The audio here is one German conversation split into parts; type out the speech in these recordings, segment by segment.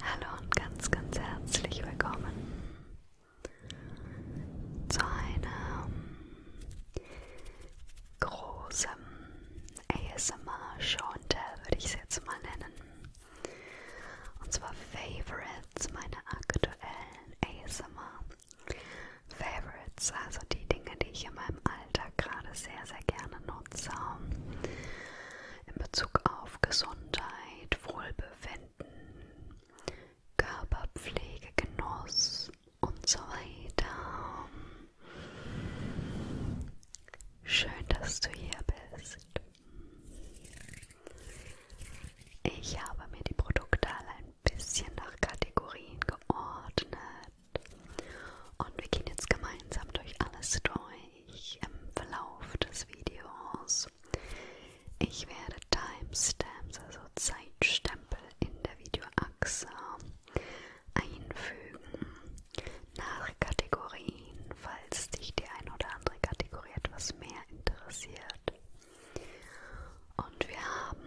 Hallo und ganz, ganz herzlich willkommen zu einer großen ASMR-Show, würde ich es jetzt mal nennen. Und zwar Favorites, meine aktuellen ASMR-Favorites, also die Dinge, die ich in meinem Alltag gerade sehr, sehr gerne nutze. In Bezug auf Gesundheit, Wohlbefinden, Körperpflege, Genuss und so weiter. Schön, dass du hier bist. Ich habe mir die Produkte alle ein bisschen nach Kategorien geordnet. Und wir gehen jetzt gemeinsam durch alles durch im Verlauf des Videos. Ich werde Timestamps, also Zeitstempel in der Videoachse einfügen nach Kategorien, falls dich die eine oder andere Kategorie etwas mehr interessiert. Und wir haben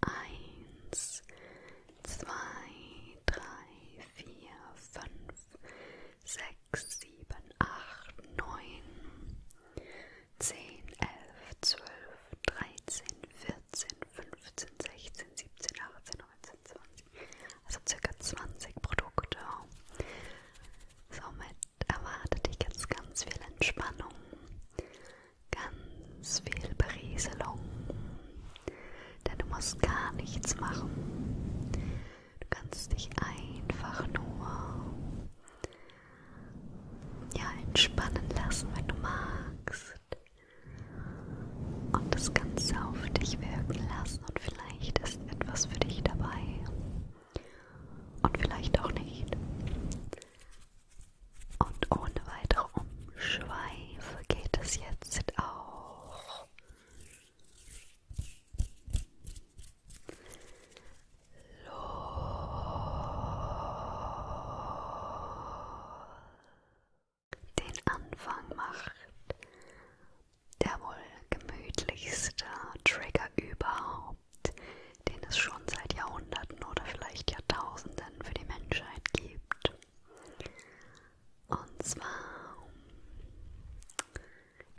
1, 2, drei, vier, fünf, sechs, sieben, acht, neun, zehn, elf, zwölf, dreizehn, vierzehn, fünfzehn, sechzehn, siebzehn, achtzehn, neunzehn, zwanzig. Also circa 20 Produkte. Somit erwartet dich jetzt ganz viel Entspannung, ganz viel Berieselung, denn du musst gar nichts machen. Du kannst dich einfach nur ja, entspannen lassen, wenn du magst. Und das Ganze auf dich wirken lassen und vielleicht ist etwas für dich dabei. Und vielleicht auch nicht. Und ohne weitere Umwege Schweife geht es jetzt auch los. Den Anfang macht der wohl gemütlichste Trigger überhaupt, den es schon seit Jahrhunderten oder vielleicht Jahrtausenden für die Menschheit gibt. Und zwar,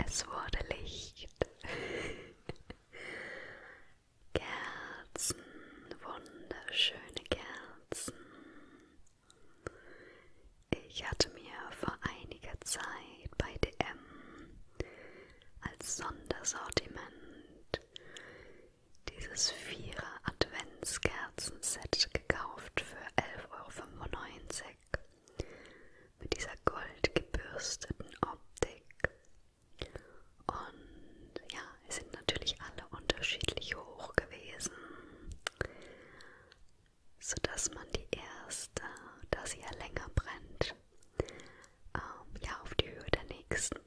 es wurde Licht, Kerzen, wunderschöne Kerzen. Ich hatte mir vor einiger Zeit bei DM als Sondersortiment dieses Vierer Adventskerzenset gekauft für 11,95 Euro. Mit dieser goldgebürsteten Optik. Und ja, es sind natürlich alle unterschiedlich hoch gewesen, sodass man die erste, da sie ja länger brennt, ähm, ja auf die Höhe der nächsten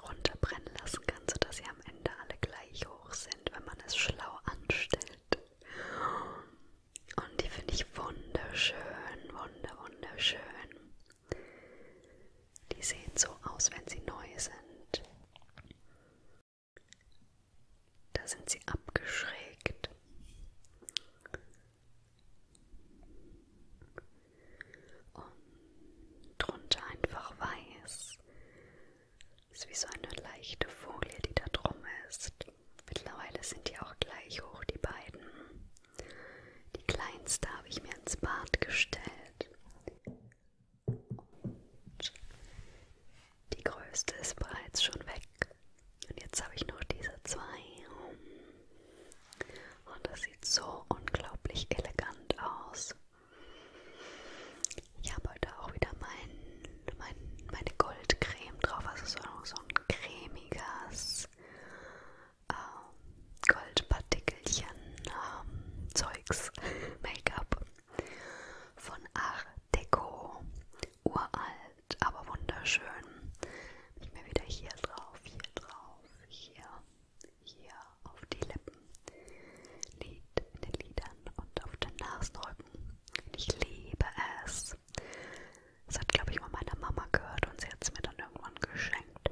runterbrennen lassen kann, sodass sie am Ende alle gleich gleich hoch sind, wenn man es schlau anstellt. Und die finde ich wunderschön, wunder, wunderschön. Die sehen so aus, wenn sie neu sind. Da sind sie abgeschrägt. Und drunter einfach weiß. Ist wie so eine leichte Folie, die da drum ist. Mittlerweile sind die auch gleich hoch, die beiden. Die kleinste habe ich mir ins Bad gestellt. Und die größte ist bereits schon weg. Und jetzt habe ich noch diese zwei. Und das sieht so unglaublich elegant aus. Ich habe heute auch wieder mein, mein, meine Goldcreme drauf, also so, so ein cremiges ähm, Goldpartikelchen ähm, Zeugs, Make-up von Art Deco, uralt, aber wunderschön. Ich mir wieder hier drauf, hier drauf, hier, hier auf die Lippen. Lied in den Liedern und auf den Nasenrücken. Ich liebe es. Das hat, glaube ich, mal meine Mama gehört und sie hat es mir dann irgendwann geschenkt.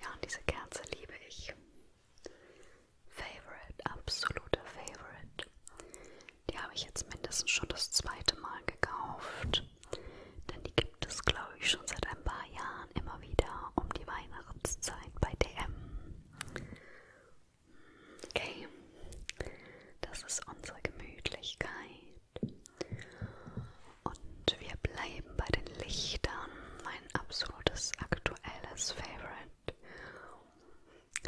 Ja, und diese Kerze liebe ich. Favorite, absoluter Favorite. Die habe ich jetzt mindestens schon das zweite Mal gekauft. Denn die gibt es, glaube ich, schon seit ein paar Jahren. Jahren immer wieder um die Weihnachtszeit bei DM. Okay, das ist unsere Gemütlichkeit. Und wir bleiben bei den Lichtern, mein absolutes aktuelles Favorite,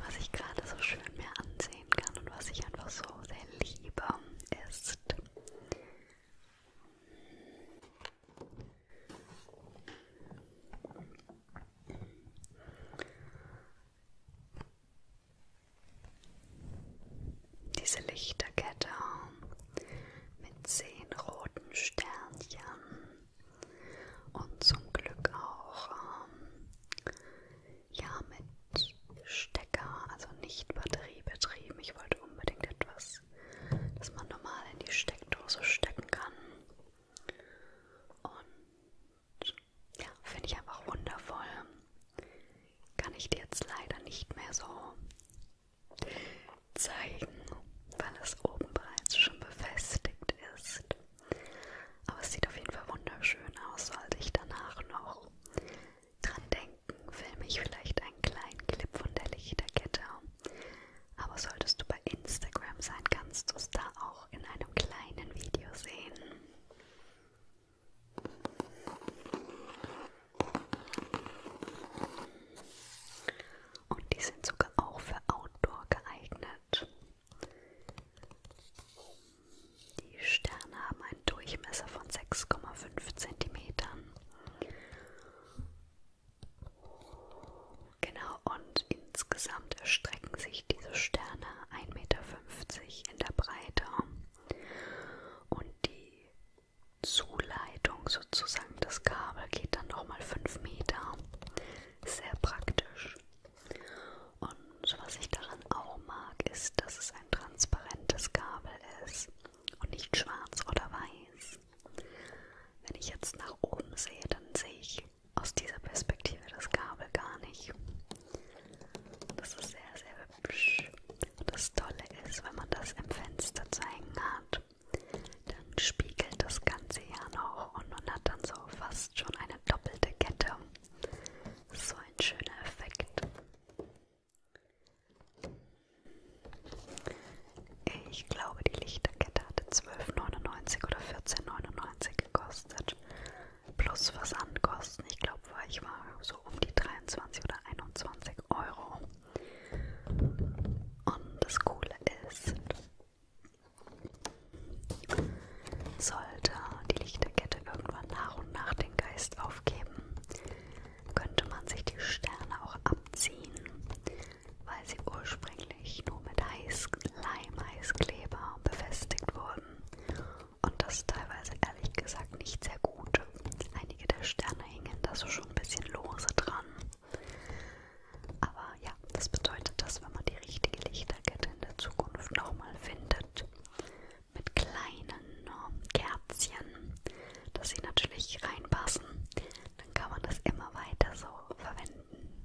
was ich gerade so schön mir ansehen kann und was ich einfach so sehr liebe, ist diese Lichterkette ähm, mit zehn roten Sternchen und zum Glück auch ähm, ja mit Stecker, also nicht batteriebetrieben. Ich wollte unbedingt etwas ist, dass man normal in die Steckdose stecken kann. Und ja, finde ich einfach wundervoll. Kann ich dir jetzt leider nicht mehr so zeigen, weil es oben bereits schon befestigt ist. Aber es sieht auf jeden Fall wunderschön aus, sollte ich danach noch dran denken, filme ich vielleicht einen kleinen Clip von der Lichterkette. Aber solltest du bei Instagram sein, kannst du es da auch in einem kleinen Video sehen. Und die sind sogar auch für Outdoor geeignet. Die Sterne haben einen Durchmesser von 6,5 cm Genau, und insgesamt erstrecken sich diese Sterne 1,50 Meter in der Breite. Und die Zuleitung sozusagen, das Kabel geht dann nochmal 5 Meter. Sehr praktisch. Und was ich daran auch mag, ist, dass es ein transparentes Kabel ist und nicht schwarz oder weiß. Wenn ich jetzt nach oben sehe, dann sehe ich aus dieser Perspektive das Kabel gar nicht. Das ist sehr, sehr hübsch. Und das Tolle ist, wenn man das im Fenster zu hängen hat, dann spiegelt das Ganze ja noch und man hat dann so fast schon eine doppelte Kette. So ein schöner Effekt. Ich glaube, die Lichterkette hatte 12,99 oder 14,99 gekostet. Plus Versandkosten. Ich glaube, ich war so um die 23 oder 21 Euro. Und das Coole ist, sollte die Lichterkette irgendwann nach und nach den Geist aufgeben, könnte man sich die Sterne auch abziehen weil sie ursprünglich nur mit Eis, Leimeiskleber befestigt wurden und das teilweise ehrlich gesagt nicht sehr gut. Einige der Sterne hingen da so schon ein bisschen lose dran. Aber ja, das bedeutet, dass wenn man die richtige Lichterkette in der Zukunft nochmal findet, mit kleinen ähm, Kerzchen, dass sie natürlich reinpassen, dann kann man das immer weiter so verwenden.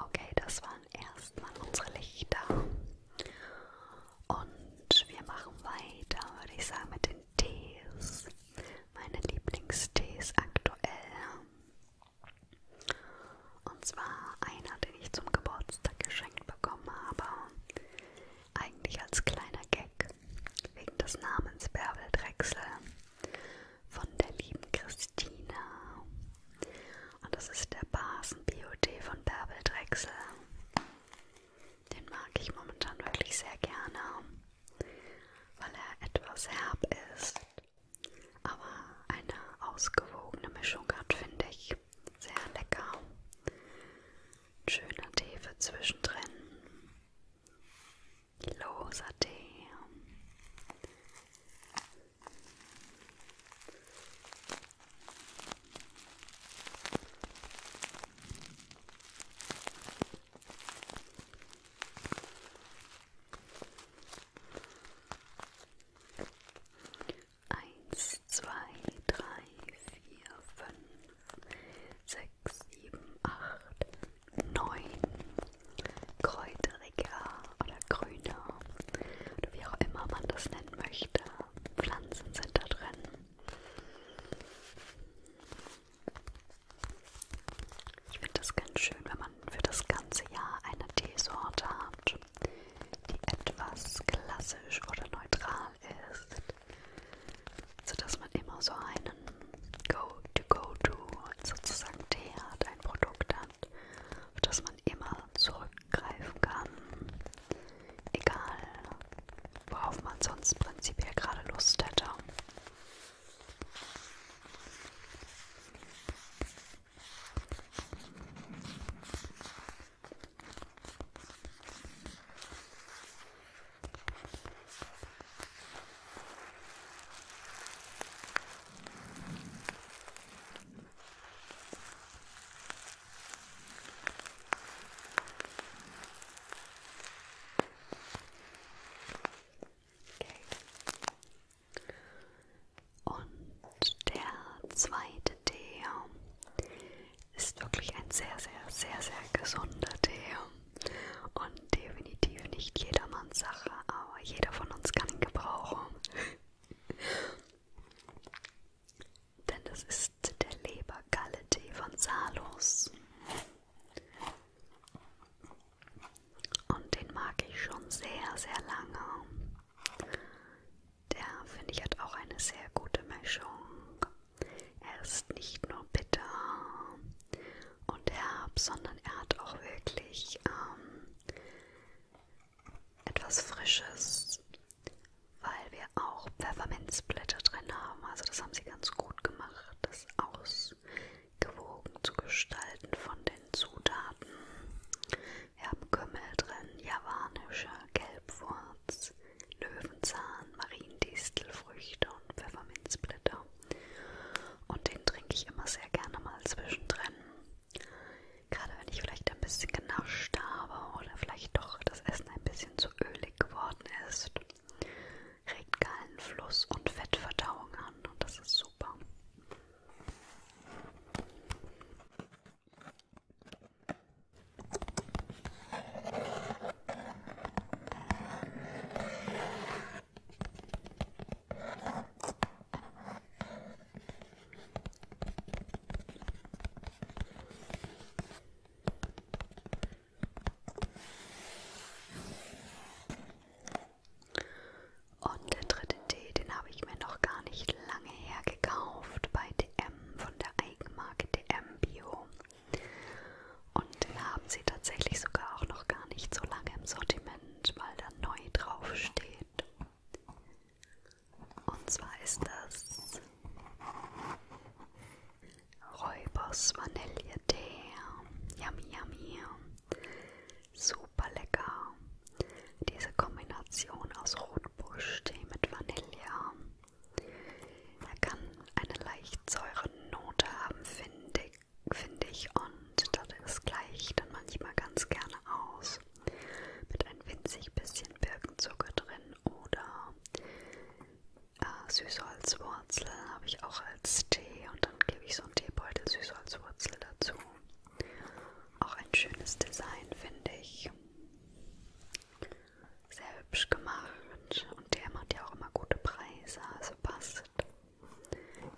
Okay, das waren erstmal unsere Lichter. Und wir machen weiter, würde ich sagen, mit den Tees. Meine Lieblingstees aktuell. Und zwar einer, den ich zum Geburtstag geschenkt bekommen habe. Eigentlich als kleiner Gag. Wegen des Namens Bärbel Drechsel von der lieben Christina. Und das ist der Basen Bio-Tee von Bärbel Drechsel. Den mag ich momentan wirklich sehr gerne, weil er etwas herb ist, aber eine ausgewogene Mischung hat, finde ich. Sehr lecker. Ein schöner Tee für zwischendrin loser Tee. Eins, zwei, drei, vier, fünf, sechs, sieben, acht, neuen kräuteriger oder grüner oder wie auch immer man das nennen möchte. Pflanzen sind da drin. Ich finde das ganz schön, wenn man für das ganze Jahr eine Teesorte hat, die etwas klassisch oder neutral ist, sodass man immer so einen Go-to-Go-to -Go -to sozusagen Tee hat, ein Produkt hat, auf das man immer zurückgreifen kann, egal worauf man sonst prinzipiell gerade Lust hätte. Okay. Und der zweite Tee ist wirklich ein sehr, sehr, sehr, sehr gesunder Tee. Und definitiv nicht jedermanns Sache, aber jeder von uns kann ihn gebrauchen. Denn das ist der Lebergalle-Tee von Salos. Und den mag ich schon sehr, sehr lange. Der, finde ich, hat auch eine sehr gute Mischung. Er ist nicht nur bitter und herb, sondern er hat auch wirklich ähm, etwas Frisches, weil wir auch Pfefferminzblätter drin haben. Also das haben sie ganz gut gemacht, das ausgewogen zu gestalten von den Zutaten. Wir haben Kümmel drin, javanischer Gelbwurz, Löwenzahn, Mariendistelfrüchte und Pfefferminzblätter. Und den trinke ich immer sehr gerne mal zwischendrin. Gerade wenn ich vielleicht ein bisschen genascht habe oder vielleicht doch das Essen ein bisschen zu ölig geworden ist, regt Gallenfluss und Fettverdauung an und das ist super. Und der dritte Tee, den habe ich mir noch gar nicht lange her gekauft bei DM von der Eigenmarke DM Bio. Und den haben sie tatsächlich sogar auch noch gar nicht so lange im Sortiment manchmal dann neu draufsteht. Und zwar ist das Räubers Vanilletee. Yummy, yummy. Super lecker. Diese Kombination aus Rotbuschtee mit Vanille. Er kann eine leicht säure Note haben, finde ich finde ich, und das gleicht dann manchmal ganz gerne aus. Mit ein winzig bisschen Birkenzucker drin oder äh, Süßholzwurzel habe ich auch als Tee und dann gebe ich so einen Teebeutel Süßholzwurzel dazu. Auch ein schönes Design, finde ich. Sehr hübsch gemacht und der macht ja auch immer gute Preise, also passt.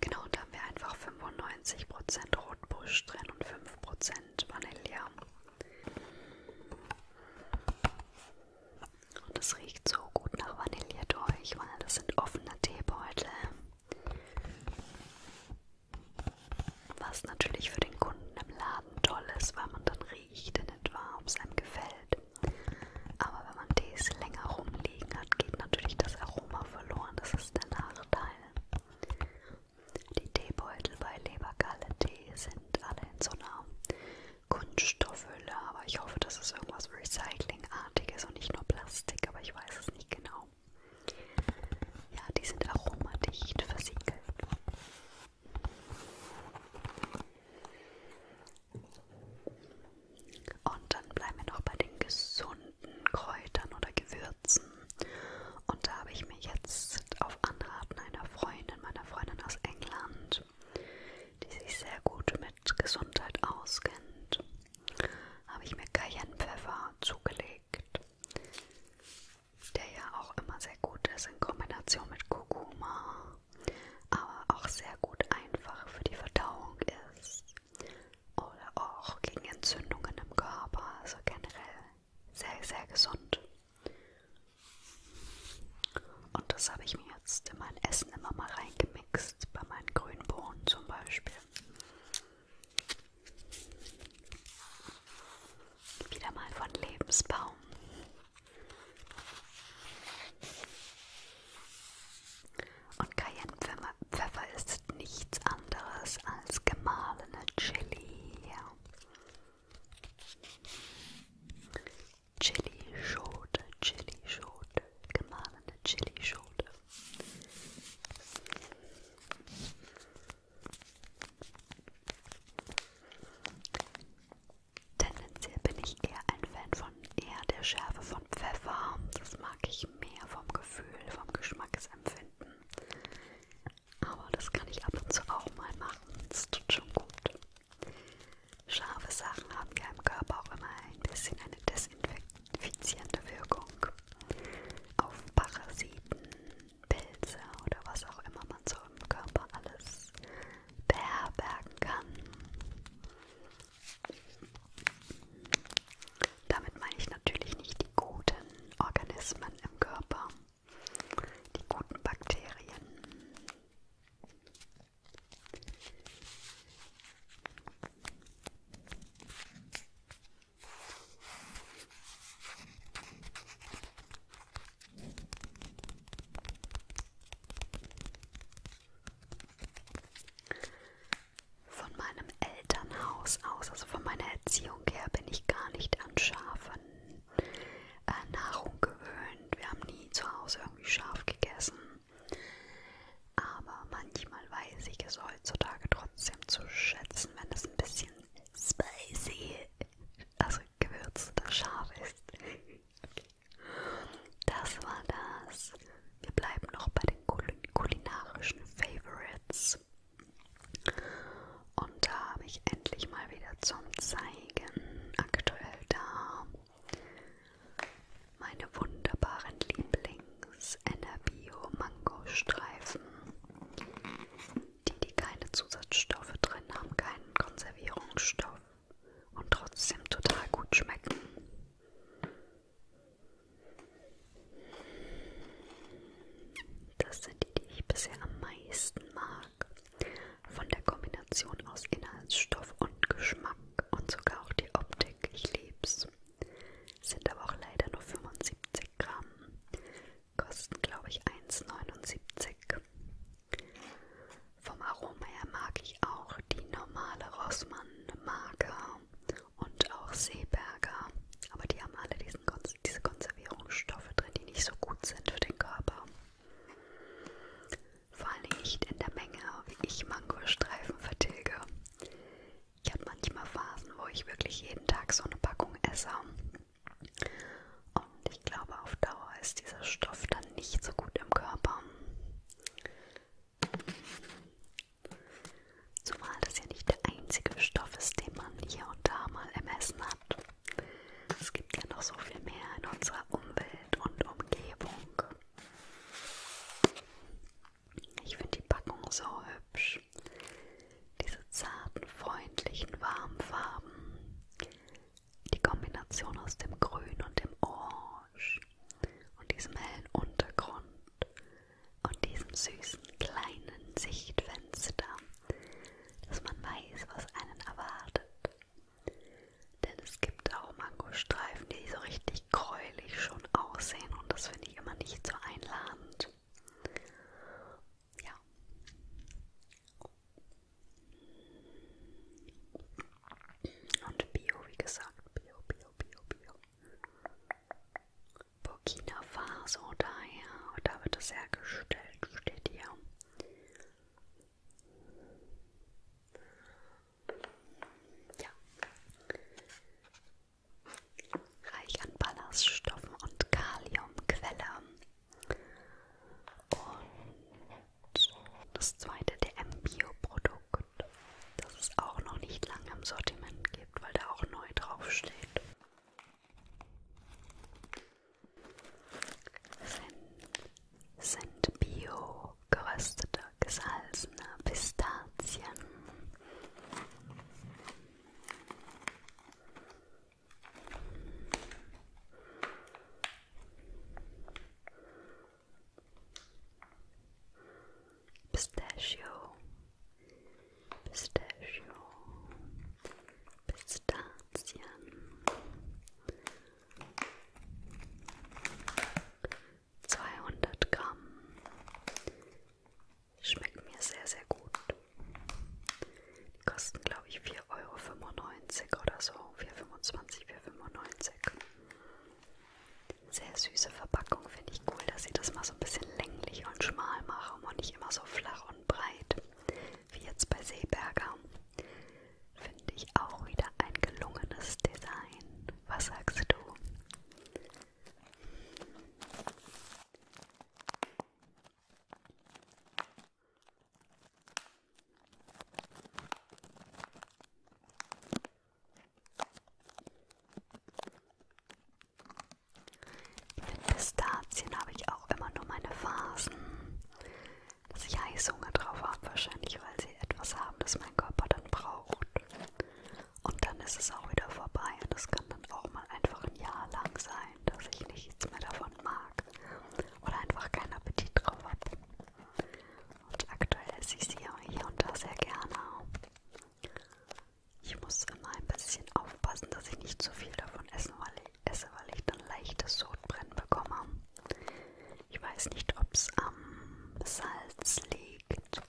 Genau, da haben wir einfach 95% Rotbusch drin und 5% Vanille. Und es riecht so gut nach Vanille durch, weil das sind offene Teebeutel. Was natürlich für den Kunden im Laden toll ist, weil man dann riecht in etwa, ob es einem gefällt. Aber wenn man Tees länger rumliegen hat, geht natürlich das Aroma verloren. Das ist der Nachteil. Die Teebeutel bei Lebergalle-Tee sind alle in so einer Kunststoffhülle, aber ich hoffe, das ist irgendwas Recyclingartiges und nicht nur Plastik, aber ich weiß es nicht genau. Ja, die sind aromadicht versiegelt. Und dann bleiben wir noch bei den gesunden Kräutern oder Gewürzen. Und da habe ich mir jetzt auf Anraten einer Freundin, meiner Freundin aus England, die sich sehr gut mit Gesundheit auskennt, habe ich mir Cayennepfeffer zugelegt, der ja auch immer sehr gut ist in Kombination mit Kurkuma, aber auch sehr gut einfach für die Verdauung ist. Oder auch gegen Entzündungen im Körper, also generell sehr, sehr gesund. Und das habe ich mir jetzt in mein Essen immer mal reingemixt, bei meinen grünen Bohnen zum Beispiel. Wieder mal von Lebensbaum. Und Cayennepfeffer Pfeffer ist nichts anderes als gemahlene Chili. Chili-Schote, Chili-Schote, gemahlene Chili-Schote. Tendenziell bin ich eher ein Fan von eher der Schärfe von Pfeffer. Das mag ich mehr vom Gefühl, vom Geschmack empfinden. Aber das kann ich ab und zu auch mal machen. Das tut schon gut. Scharfe Sachen haben ja im Körper auch immer ein bisschen eine desinfizierende Wirkung. Auf Parasiten, Pilze oder was auch immer man so im Körper alles beherbergen kann. Damit meine ich natürlich nicht die guten Organismen im Körper, die guten Bakterien. Von meinem Elternhaus aus, also von meiner Erziehung her, bin ich gar nicht an scharfe äh, Nahrung gewöhnt. Wir haben nie zu Hause irgendwie scharf gegessen. Aber manchmal weiß ich es heutzutage trotzdem zu schätzen, wenn es ein bisschen spicy, also gewürzt oder scharf ist. Okay. Das war das. Wir bleiben noch bei den kulinarischen Favorites. Und da habe ich endlich mal wieder zum Zeigen aktuell da meine wunderbaren Lieblings-Enerbio-Mango-Streifen, die, die keine Zusatzstoffe drin haben, keinen Konservierungsstoff und trotzdem total gut schmecken. Das sind die, die ich bisher am meisten mag. Von der Kombination aus Inhaltsstoff und Geschmack und sogar auch die Optik. Ich lieb's. Sind aber auch leider nur 75 Gramm. Kosten, glaube ich, 1,79. Vom Aroma her mag ich auch die normale Rossmann-Marke und auch Seeberger. Aber die haben alle diesen, diese Konservierungsstoffe drin, die nicht so gut sind für den Körper. Vor allem nicht in der Menge, wie ich Mangostreifen vertilge. Ich habe manchmal Phasen, wo ich wirklich jeden Tag so eine Packung esse. Und ich glaube, auf Dauer ist dieser Stoff dann nicht so gut im Körper. Zumal das ja nicht der einzige Stoff ist, den man hier und da mal ermessen hat. Es gibt ja noch so viel mehr in unserer Umwelt und Umgebung. Ich finde die Packung so hübsch. Diese zarten, freundlichen, warmen Farben. Die Kombination aus dem Grün und dem Orange und diesem hellen Untergrund und diesem süßen kleinen Sichtfenster, dass man weiß, was einen erwartet. Denn es gibt auch Mangostreifen, die so richtig gräulich schon aussehen und das finde ich immer nicht so einladend. Ja. Und Bio, wie gesagt, Bio, Bio, Bio, Bio. Burkina Faso daher. Und da wird es hergestellt, steht hier. Ja. Reich an Ballaststoffen und Kaliumquelle. Und das zweite DM-Bioprodukt, das es auch noch nicht lange im Sortiment gibt, weil da auch neu draufsteht sind, sind bio geröstete, gesalzene Pistazien. Pistachio Pistachio, Pistazien, 200 Gramm, schmeckt mir sehr, sehr gut. Die kosten, glaube ich, 4,95 Euro oder so, 4,25, 4,95 Euro. Sehr süße Verpackung, finde finde ich cool, dass sie das mal so ein bisschen länglich und schmal machen und nicht immer so flach und breit wie jetzt bei Seeberger. Finde ich auch wieder ein gelungenes Design. Was sagst du? Mit Pistazien habe ich auch immer nur meine Phasen, dass ich Heißhunger drauf habe, wahrscheinlich, weil sie etwas haben, das mein Körper dann braucht. Und dann ist es auch wieder vorbei und das kann dann auch mal einfach ein Jahr lang sein, dass ich nichts mehr davon mag oder einfach keinen Appetit drauf habe. Und aktuell esse ich sie hier und da sehr gerne. Ich muss immer ein bisschen aufpassen, dass ich nicht zu viel davon esse, weil ich, esse, weil ich dann leichtes Sodbrennen bekomme. Ich weiß nicht, ob es am Salz liegt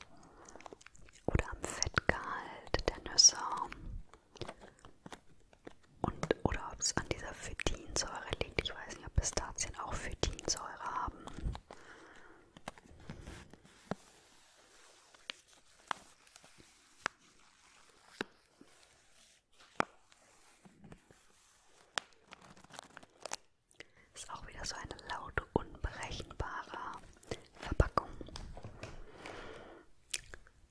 oder am Fettgehalt der Nüsse und oder ob es an dieser Phytinsäure liegt. Ich weiß nicht, ob Pistazien auch Phytinsäure haben. Ist auch wieder so eine laute, unberechenbare Verpackung.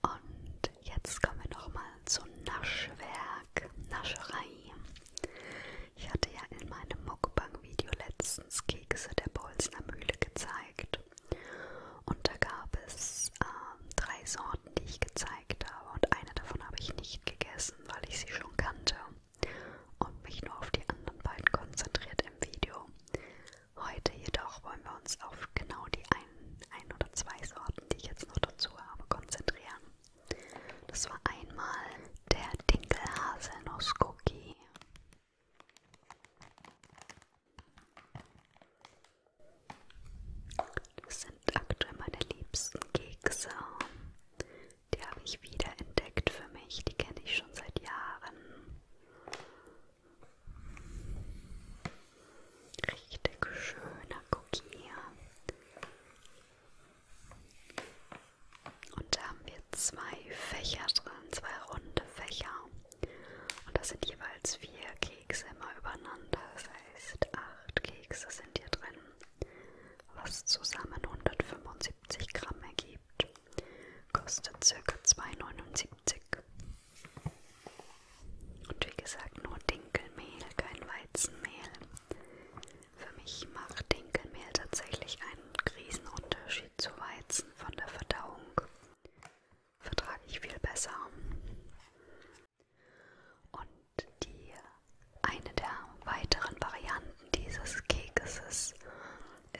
Und jetzt kommen wir nochmal zu Naschwerk, Nascherei. Ich hatte ja in meinem Mukbang-Video letztens Kekse der Bolzner Mühle gezeigt gemacht. Und da gab es ähm, drei Sorten, die ich gezeigt habe. Und eine davon habe ich nicht gegessen, weil ich sie schon kannte. Und mich nur auf die anderen beiden konzentriert im Video. Heute jedoch wollen wir uns auf genau die ein, ein oder zwei Sorten, die ich jetzt noch dazu habe, konzentrieren. Das war einmal der Dinkelhaselnuss Cookie. Das sind aktuell meine liebsten Kekse. Die habe ich wieder entdeckt für mich. Die kenne ich schon seit Jahren. Richtig schöner Cookie. Und da haben wir zwei Fächer drin, zwei runde Fächer. Und das sind jeweils vier Kekse immer übereinander. Das heißt, acht Kekse sind hier drin, was zusammen 175 Gramm ergibt. Kostet ca. 2,79. Und wie gesagt, nur Dinkelmehl, kein Weizenmehl. Für mich macht Dinkelmehl tatsächlich einen Riesenunterschied zu Weizen von der Verdauung vertrage ich viel besser. Und die eine der weiteren Varianten dieses Kekses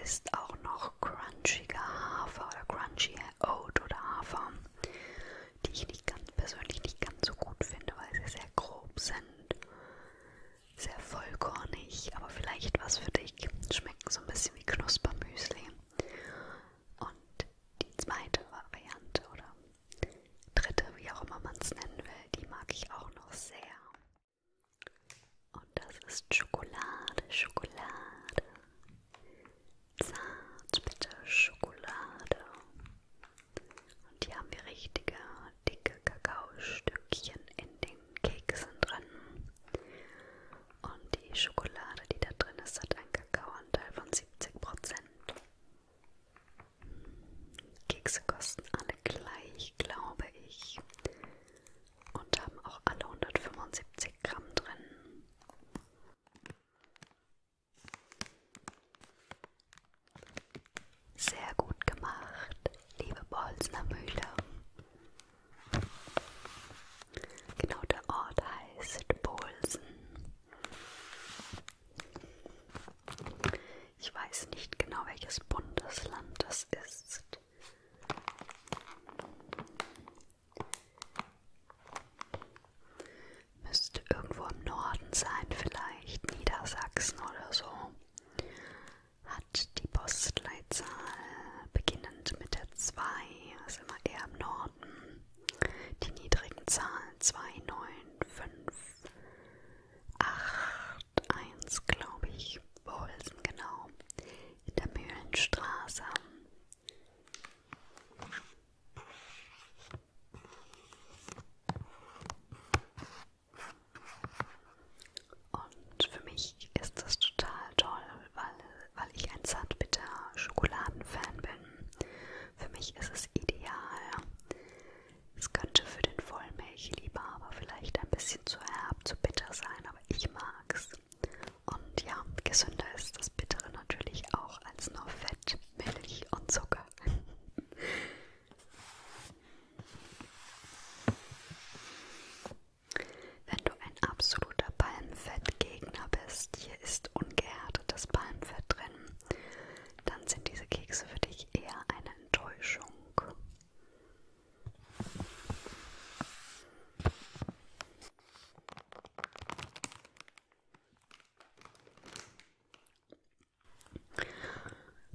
ist auch noch crunchiger Hafer oder crunchy Oat oder Hafer, die ich nicht ganz persönlich nicht ganz so gut finde, weil sie sehr grob sind, sehr vollkornig, aber vielleicht was für dich. Schmecken so ein bisschen wie Knuspermüsli. Und die zweite Variante oder dritte, wie auch immer man es nennen will, die mag ich auch noch sehr. Und das ist Schokolade, Schokolade. Zartbitter Schokolade. Und hier haben wir richtige, dicke Kakaostückchen in den Keksen drin. Und die Schokolade, die da drin ist, hat einen Kakaoanteil von 70%. Kekse kosten alle gleich, glaube ich. Und haben auch alle 175 Gramm drin. Sehr gut gemacht, liebe Bolzner Mühle. Genau, der Ort heißt Bolsen. Ich weiß nicht genau, welches Bundesland das ist. Müsste irgendwo im Norden sein, vielleicht Niedersachsen oder so. Hat die Postleitzahl beginnend mit der 2, also immer eher im Norden. Die niedrigen Zahlen 2, 9, 5, 8, 1, glaube ich, Bolsen genau, in der Mühlenstraße. Und für mich ist das total toll, weil, weil ich ein zartbitter Schokoladenfan bin. Für mich ist es ideal. Es könnte für den Vollmilch-Liebhaber vielleicht ein bisschen zu herb, zu bitter sein, aber ich mag's. Und ja, gesünder ist das Bittere natürlich auch als nur Fett, Milch und Zucker. Wenn du ein absoluter Palmfettgegner bist, hier ist ungehärtetes Palmfett drin, dann sind diese Kekse für dich eher eine Enttäuschung.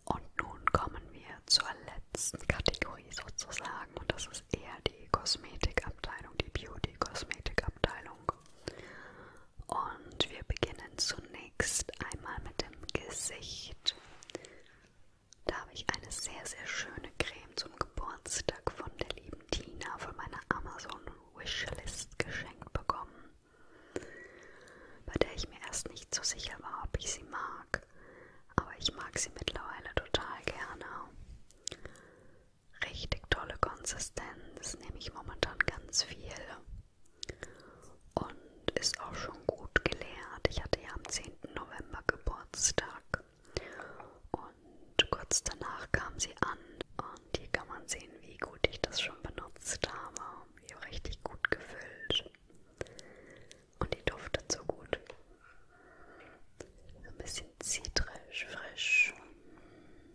Und nun kommen wir zur letzten Kategorie sozusagen und das ist eher die Kosmetikabteilung, die Beauty-Kosmetikabteilung. Und wir beginnen zunächst einmal mit dem Gesicht. Da habe ich eine sehr, sehr schöne Creme zum Geburtstag von der lieben Tina von meiner Amazon-Wishlist geschenkt bekommen, bei der ich mir erst nicht so sicher war, ob ich sie mag. Aber ich mag sie mittlerweile total gerne richtig tolle Konsistenz, nehme ich momentan ganz viel und ist auch schon gut geleert. Ich hatte ja am 10. November Geburtstag und kurz danach kam sie an und hier kann man sehen, wie gut ich das schon benutzt habe. Richtig gut gefüllt und die duftet so gut. So ein bisschen zitrisch, frisch,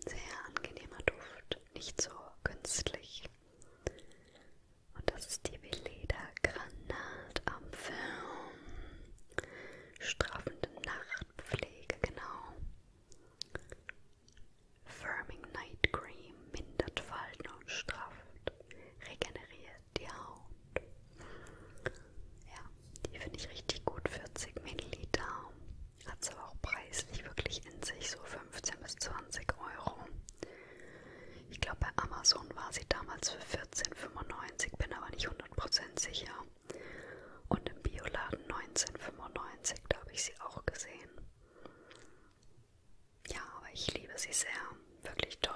sehr angenehmer Duft, nicht so künstlich. Und das ist die Veleda Granatampfer. Strafende Nachtpflege, genau. Firming Night Cream mindert Falten und strafft, regeneriert die Haut. Ja, die finde ich richtig gut, 40 Milliliter. Hat es aber auch preislich wirklich in sich, so 15 bis 20 Euro. Ich glaube, bei Amazon war sie damals für 14,95, bin aber nicht 100% sicher. Und im Bioladen 19,95, da habe ich sie auch gesehen. Ja, aber ich liebe sie sehr. Wirklich toll.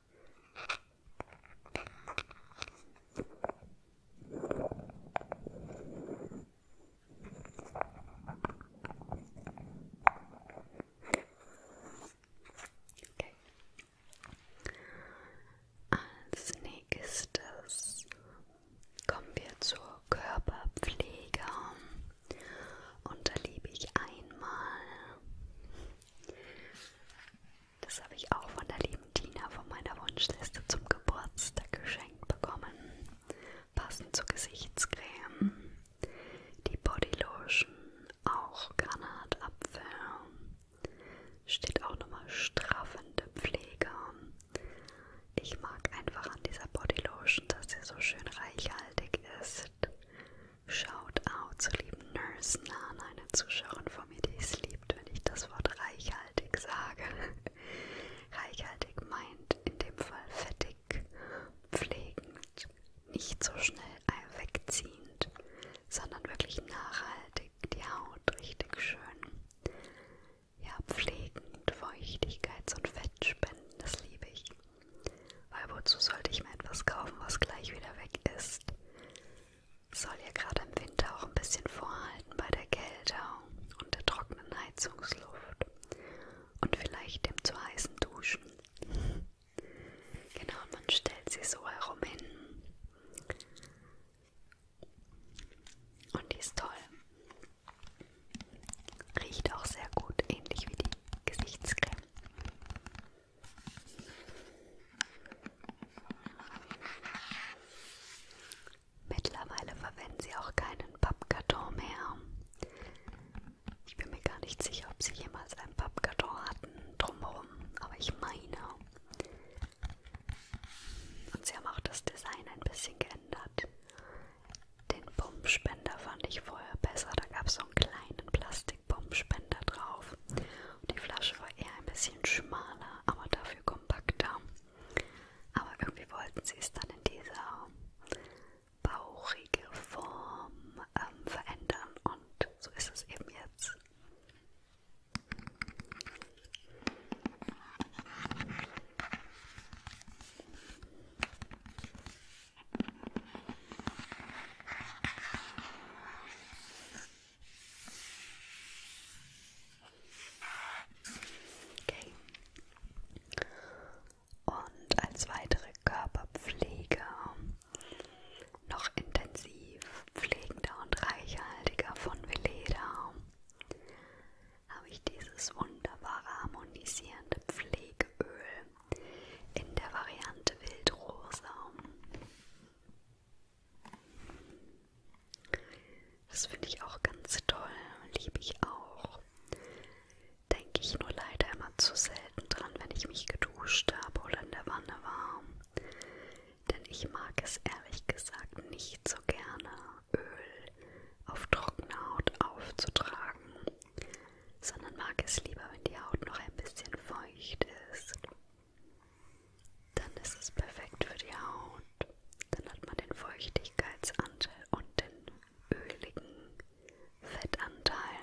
Okay. Als nächstes kommen wir zur Körperpflege und da liebe ich einmal das habe ich auch von der lieben Tina von meiner Wunschliste zum Geburtstag geschenkt bekommen. Passend zur Gesichtscreme, die Bodylotion, auch Granatapfel. Steht auch nochmal straffende Pflege. Ich mag einfach an dieser Bodylotion, dass sie so schön reichhaltig ist. Shoutout zur lieben Nurse Nana, eine Zuschauerin Families liebt, wenn ich das Wort reichhaltig sage. reichhaltig meint in dem Fall fettig, pflegend, nicht so schnell wegziehend, sondern wirklich nachhaltig, die Haut richtig schön. Ja, pflegend, Feuchtigkeits- und Fettspenden, das liebe ich. Weil wozu sollte ich mir etwas kaufen, was gleich wieder weg ist? Soll hier gerade im Winter auch ein bisschen vorhalten bei der Kälte und der trockenen Heizungsluft und vielleicht dem zu heißen Duschen. Genau, und man stellt sie so herum hin. Und die ist toll. Riecht auch sehr gut, ähnlich wie die Gesichtscreme. Mittlerweile verwenden sie auch keinen Pappkarton mehr. Ich bin mir gar nicht sicher, ob sie jemals einen Pappkarton hatten drumherum, aber ich meine. Und sie haben auch das Design ein bisschen geändert. Den Pumpspender fand ich vorher besser. Da gab es so einen kleinen Plastikpumpspender drauf. Die Flasche war eher ein bisschen schmaler, aber dafür kompakter. Aber irgendwie wollten sie es dann in dieser bauchige Form ähm, verändern und so ist es eben jetzt. Okay. Und als weitere Körperpflege noch intensiv pflegender und reichhaltiger von Veleda habe ich dieses wunderbare harmonisierende Pflegeöl in der Variante Wildrosa. Das finde ich auch ganz toll, liebe ich auch. Denke ich nur leider immer zu selten dran, wenn ich mich geduscht habe oder in der Wanne war. Denn ich mag es ehrlich gesagt nicht so gerne, Öl auf trockene Haut aufzutragen, sondern mag es lieber, wenn die Haut noch ein bisschen feucht ist. Dann ist es perfekt für die Haut. Dann hat man den Feuchtigkeitsanteil und den öligen Fettanteil.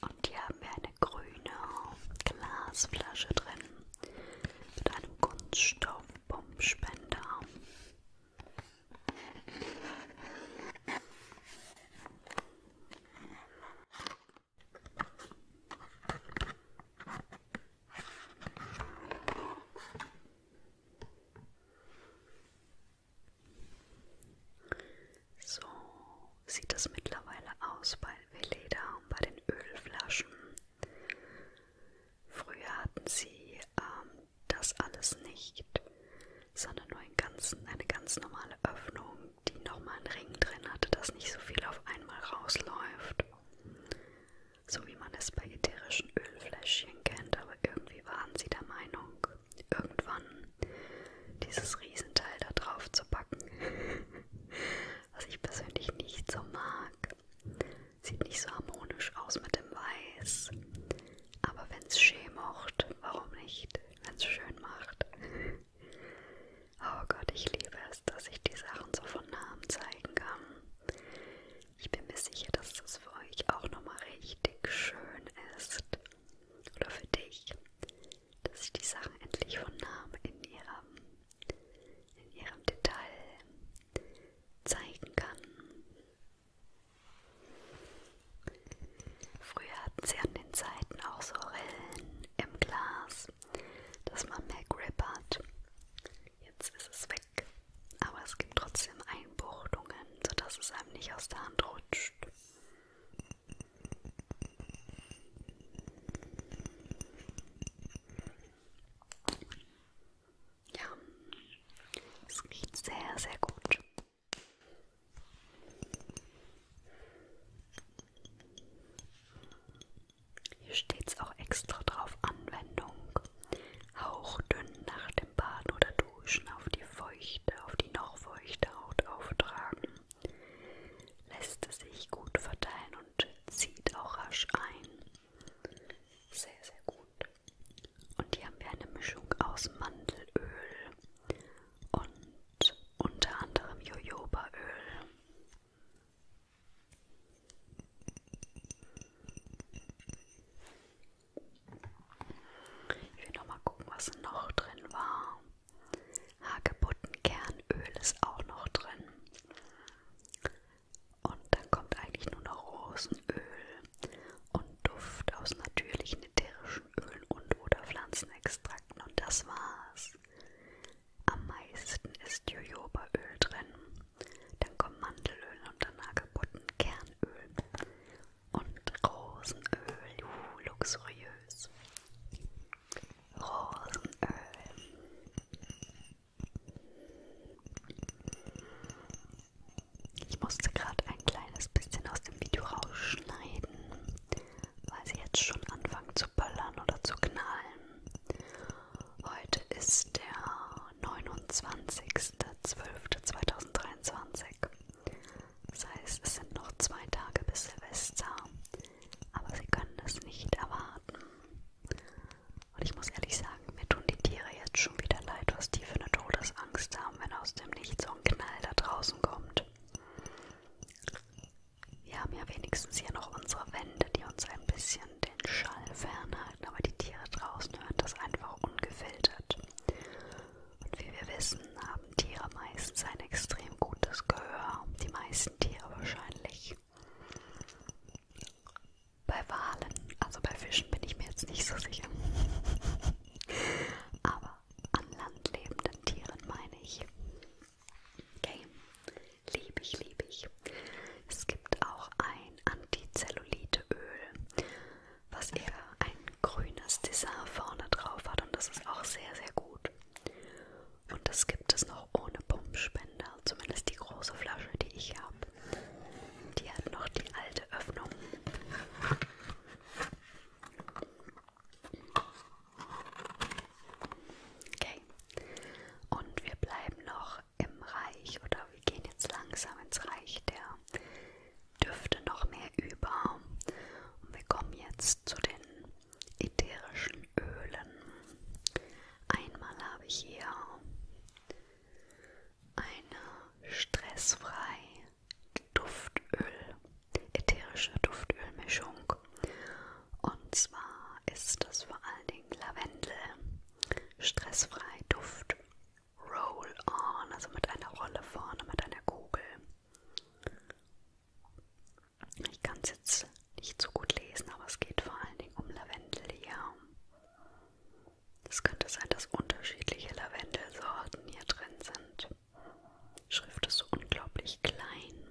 Und hier haben wir eine grüne Glasflasche drin mit einem Kunststoffpumpspender. So sieht es mittlerweile aus bei Veleda und bei den Ölflaschen. Früher hatten sie ähm, das alles nicht, sondern nur einen ganzen, eine ganz normale Öffnung, die nochmal einen Ring drin hatte, dass nicht so viel auf einmal rausläuft. So wie man es bei ätherischen Ölfläschchen kennt, aber irgendwie waren sie der Meinung, irgendwann dieses Riesenteil da drauf zu packen. Was ich persönlich nicht so mag. Sieht nicht so harmonisch aus mit dem Weiß. Aber wenn's schön macht, warum nicht? Wenn's schön macht. oh Gott, ich liebe es, dass ich die Sachen so von Namen zeigen kann. Ich bin mir sicher, dass das für euch auch nochmal richtig schön ist. Oder für dich, dass ich die Sachen endlich von Namen in ihrem, in ihrem Detail zeigen kann. Früher hatten sie an den Seiten auch so Rillen im Glas, dass man mehr Grip hat. Jetzt ist es weg, aber es gibt trotzdem Einbuchtungen, sodass es einem nicht aus der Hand rutscht. Ja, es riecht sehr, sehr gut. Hier steht es auch extra drauf Anwendung. Hauchdünn nach dem Baden oder Duschen auf die feuchte, auf die noch feuchte Haut auftragen. Lässt es sich gut verteilen und zieht auch rasch ein. Sehr, sehr gut. Und hier haben wir eine Mischung aus Mandelöl und unter anderem Jojobaöl. Ich will nochmal gucken, was noch drin war. Hagebuttenkernöl ist auch noch drin. Und dann kommt eigentlich nur noch Rosenöl und Duft aus natürlichen in ätherischen Ölen und oder Pflanzenextrakten und das war's. Am meisten ist Jojobaöl drin, dann kommt Mandelöl und danach Kernöl und Rosenöl, uh, luxuriös. Rosenöl. Ich musste gerade ein kleines bisschen aus dem Video rausschneiden, weil sie jetzt schon anfangen zu böllern oder zu knallen. Heute ist der 29.12.2023. Das heißt, es sind noch zwei Tage bis Silvester, aber sie können es nicht erwarten. Und ich muss ehrlich sagen, mir tun die Tiere jetzt schon wieder leid, was die für eine Todesangst haben haben, wenn aus dem Nichts so ein Knall da draußen kommt. Wir haben ja wenigstens hier noch unsere Wände, die uns ein bisschen den Schall fernhalten, aber die Tiere draußen hören das einfach ungefiltert. Und wie wir wissen, haben Tiere meistens ein extrem gutes Gehör, die meisten Tiere wahrscheinlich. Bei Walen, also bei Fischen bin ich mir jetzt nicht so sicher. Aber aber an Land lebenden Tieren meine ich. Okay, liebe ich, liebe ich. Es gibt auch ein Antizelluliteöl, was eher ein grünes Design vorne drauf hat und das ist auch sehr, sehr gut. Und das gibt es noch ohne Pumpspender, zumindest die große Flasche, die ich habe. Die hat noch die alte Öffnung. Okay. Und wir bleiben noch im Reich oder wir gehen jetzt langsam ins Reich der Düfte noch mehr über. Und wir kommen jetzt zu den ätherischen Ölen. Einmal habe ich hier eine stressfrei Duftöl ätherische Duftölmischung. Und zwar ist das vor allen Dingen Lavendel, stressfrei Duft, Roll On, also mit einer Rolle vorne, mit einer Kugel. Ich kann es jetzt nicht so gut lesen, aber es geht vor allen Dingen um Lavendel hier. Es könnte sein, dass unterschiedliche Lavendelsorten hier drin sind. Schrift ist so unglaublich klein.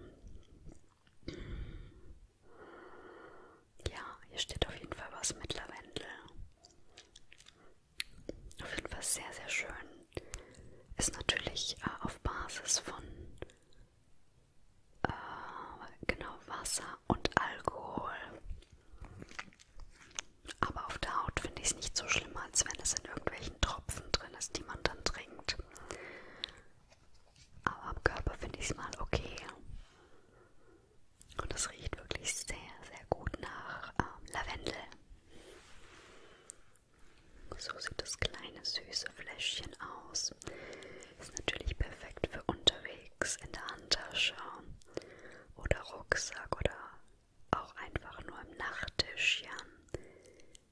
Ja, hier steht auf jeden Fall was mit Lavendel. Auf jeden Fall sehr, sehr schön. Ist natürlich äh, auf Basis von äh, genau Wasser und Alkohol. Aber auf der Haut finde ich es nicht so schlimm, als wenn es in irgendwelchen Tropfen drin ist, die man dann trinkt. Aber am Körper finde ich es mal okay. Und es riecht wirklich sehr, sehr gut nach ähm, Lavendel. So sieht das kleine süße Fläschchen aus. Ist natürlich perfekt für unterwegs in der Handtasche oder Rucksack oder auch einfach nur im Nachttisch, ja.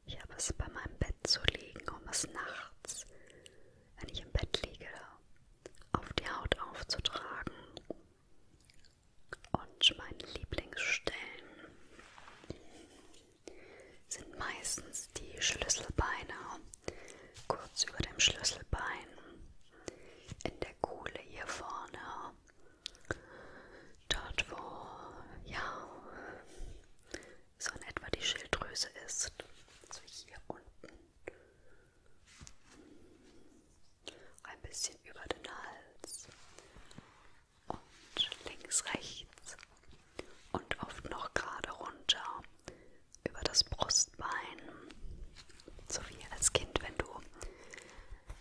Ich habe es bei meinem Bett zu liegen, um es nachts, wenn ich im Bett liege, auf die Haut aufzutragen. Und meine Lieblingsstellen sind meistens die Schlüsselbeine, kurz über dem Schlüsselbein, in der Kuhle hier vorne Dort, wo ja so in etwa die Schilddrüse ist, also hier unten, ein bisschen über den Hals und links, rechts und oft noch gerade runter über das Brustbein, so wie als Kind, wenn du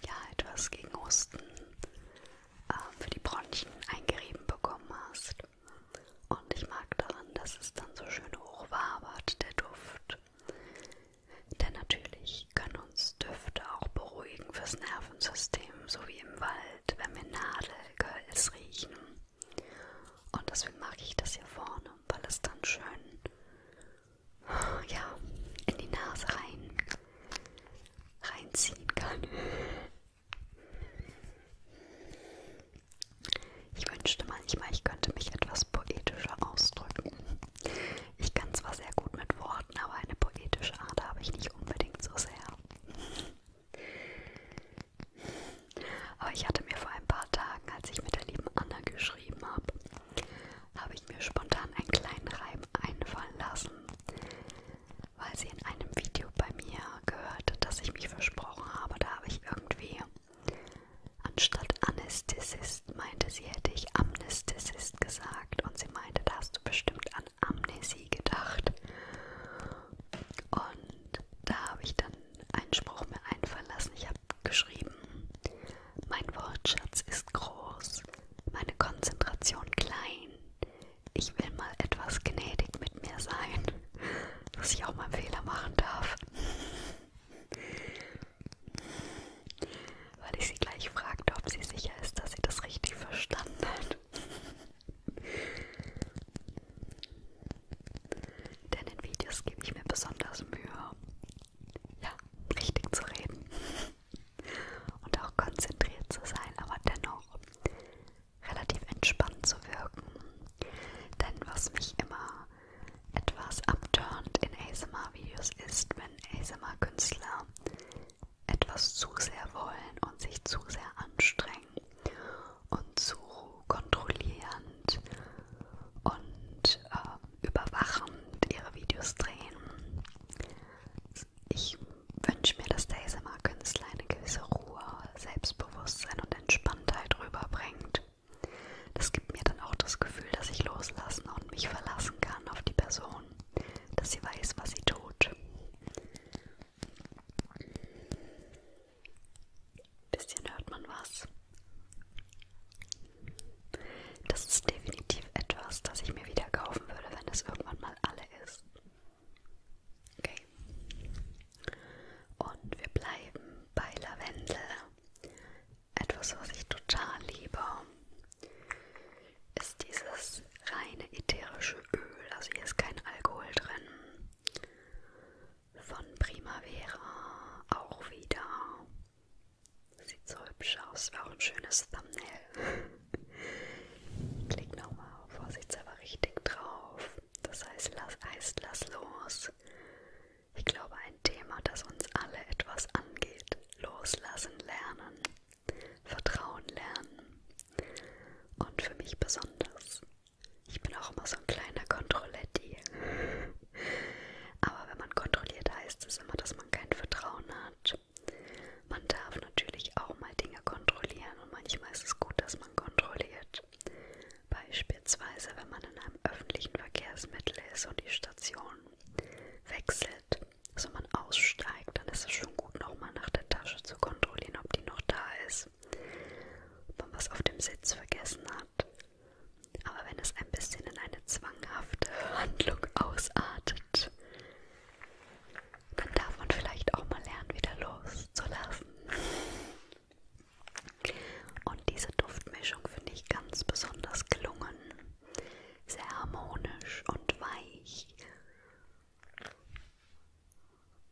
ja etwas gegen Husten äh, für die Bronchien eingerieben bekommen hast. Und ich mag daran, dass es dann so schön hochwabert, der Duft. Denn natürlich können uns Düfte auch beruhigen fürs Nervensystem, so wie im Wald, wenn wir Nadelgehölz riechen. Und deswegen mag ich das hier vorne, weil es dann schön ja, in die Nase rein reinziehen kann. Ich wünschte manchmal, ich könnte mich etwas poetischer ausdrücken. Ich kann zwar sehr gut mit Worten, aber eine poetische Art habe ich nicht unbedingt so sehr. Aber ich hatte mir vor ein paar Tagen, als ich mit der lieben Anna geschrieben habe, habe ich mir spontan einen kleinen Reim einfallen lassen, weil sie in einem Video bei mir gehört, dass ich mich versprochen habe. Da habe ich irgendwie anstatt Anästhesist meinte sie, hätte ich Amnesthesist gesagt und sie meinte, da hast du bestimmt an Amnesie gedacht. Und da habe ich dann einen Spruch mir einfallen lassen. Ich habe geschrieben, mein Wortschatz ist groß meine Konzentration klein. Ich will mal etwas gnädig mit mir sein, dass ich auch mal einen Fehler machen darf. Weil ich sie gleich fragte, ob sie sicher ist, dass sie das richtig verstanden hat. Denn in Videos gebe ich mir besonders Mühe, ja, richtig zu reden und auch konzentriert zu sein, aber dennoch relativ entspannt zu wirken. Denn was mich immer etwas abturnt in ASMR-Videos ist, wenn ASMR-Künstler etwas zu sehr wollen und sich zu sehr anstrengen und zu kontrollierend und äh, überwachend ihre Videos drehen ist, ich wünsche mir, dass der ASMR-Künstler eine gewisse Ruhe, Selbstbewusstsein und Entspanntheit rüberbringt. Das gibt mir dann auch das Gefühl, dass ich loslassen und mich verlassen kann auf die Person, dass sie weiß, was sie tut. Bisschen hört man was. Das ist definitiv etwas, das ich mir wieder kaufen würde wenn es irgendwann mal alle ist. Okay. Und wir bleiben bei Lavendel. Etwas, was ich total liebe, ist dieses reine ätherische Öl. Also hier ist kein Alkohol drin. Von Primavera auch wieder. Sieht so hübsch aus, wäre auch ein schönes Thumbnail. Klick nochmal vorsichtshalber richtig drauf. Das heißt, lass, heißt, lass los. Ich glaube, ein Thema, das uns alle etwas angeht. Loslassen lernen. Vertrauen lernen. Und für mich besonders. Ich bin auch immer so ein kleiner Kontrolletti. Aber wenn man kontrolliert, heißt es immer, dass man kein Vertrauen hat. Mensch. Man darf natürlich auch mal Dinge kontrollieren und manchmal ist es gut, dass man kontrolliert. Beispielsweise, wenn man in einem öffentlichen Verkehrsmittel ist und die Station wechselt, also man aussteigt, dann ist es schon gut, nochmal nach der Tasche zu kontrollieren, ob die noch da ist, ob man was auf dem Sitz vergessen hat. Aber wenn es ein bisschen in eine zwanghafte Handlung ausartet, dann darf man vielleicht auch mal lernen, wieder loszulassen. Und diese Duftmischung finde ich ganz besonders gelungen. Sehr harmonisch und weich.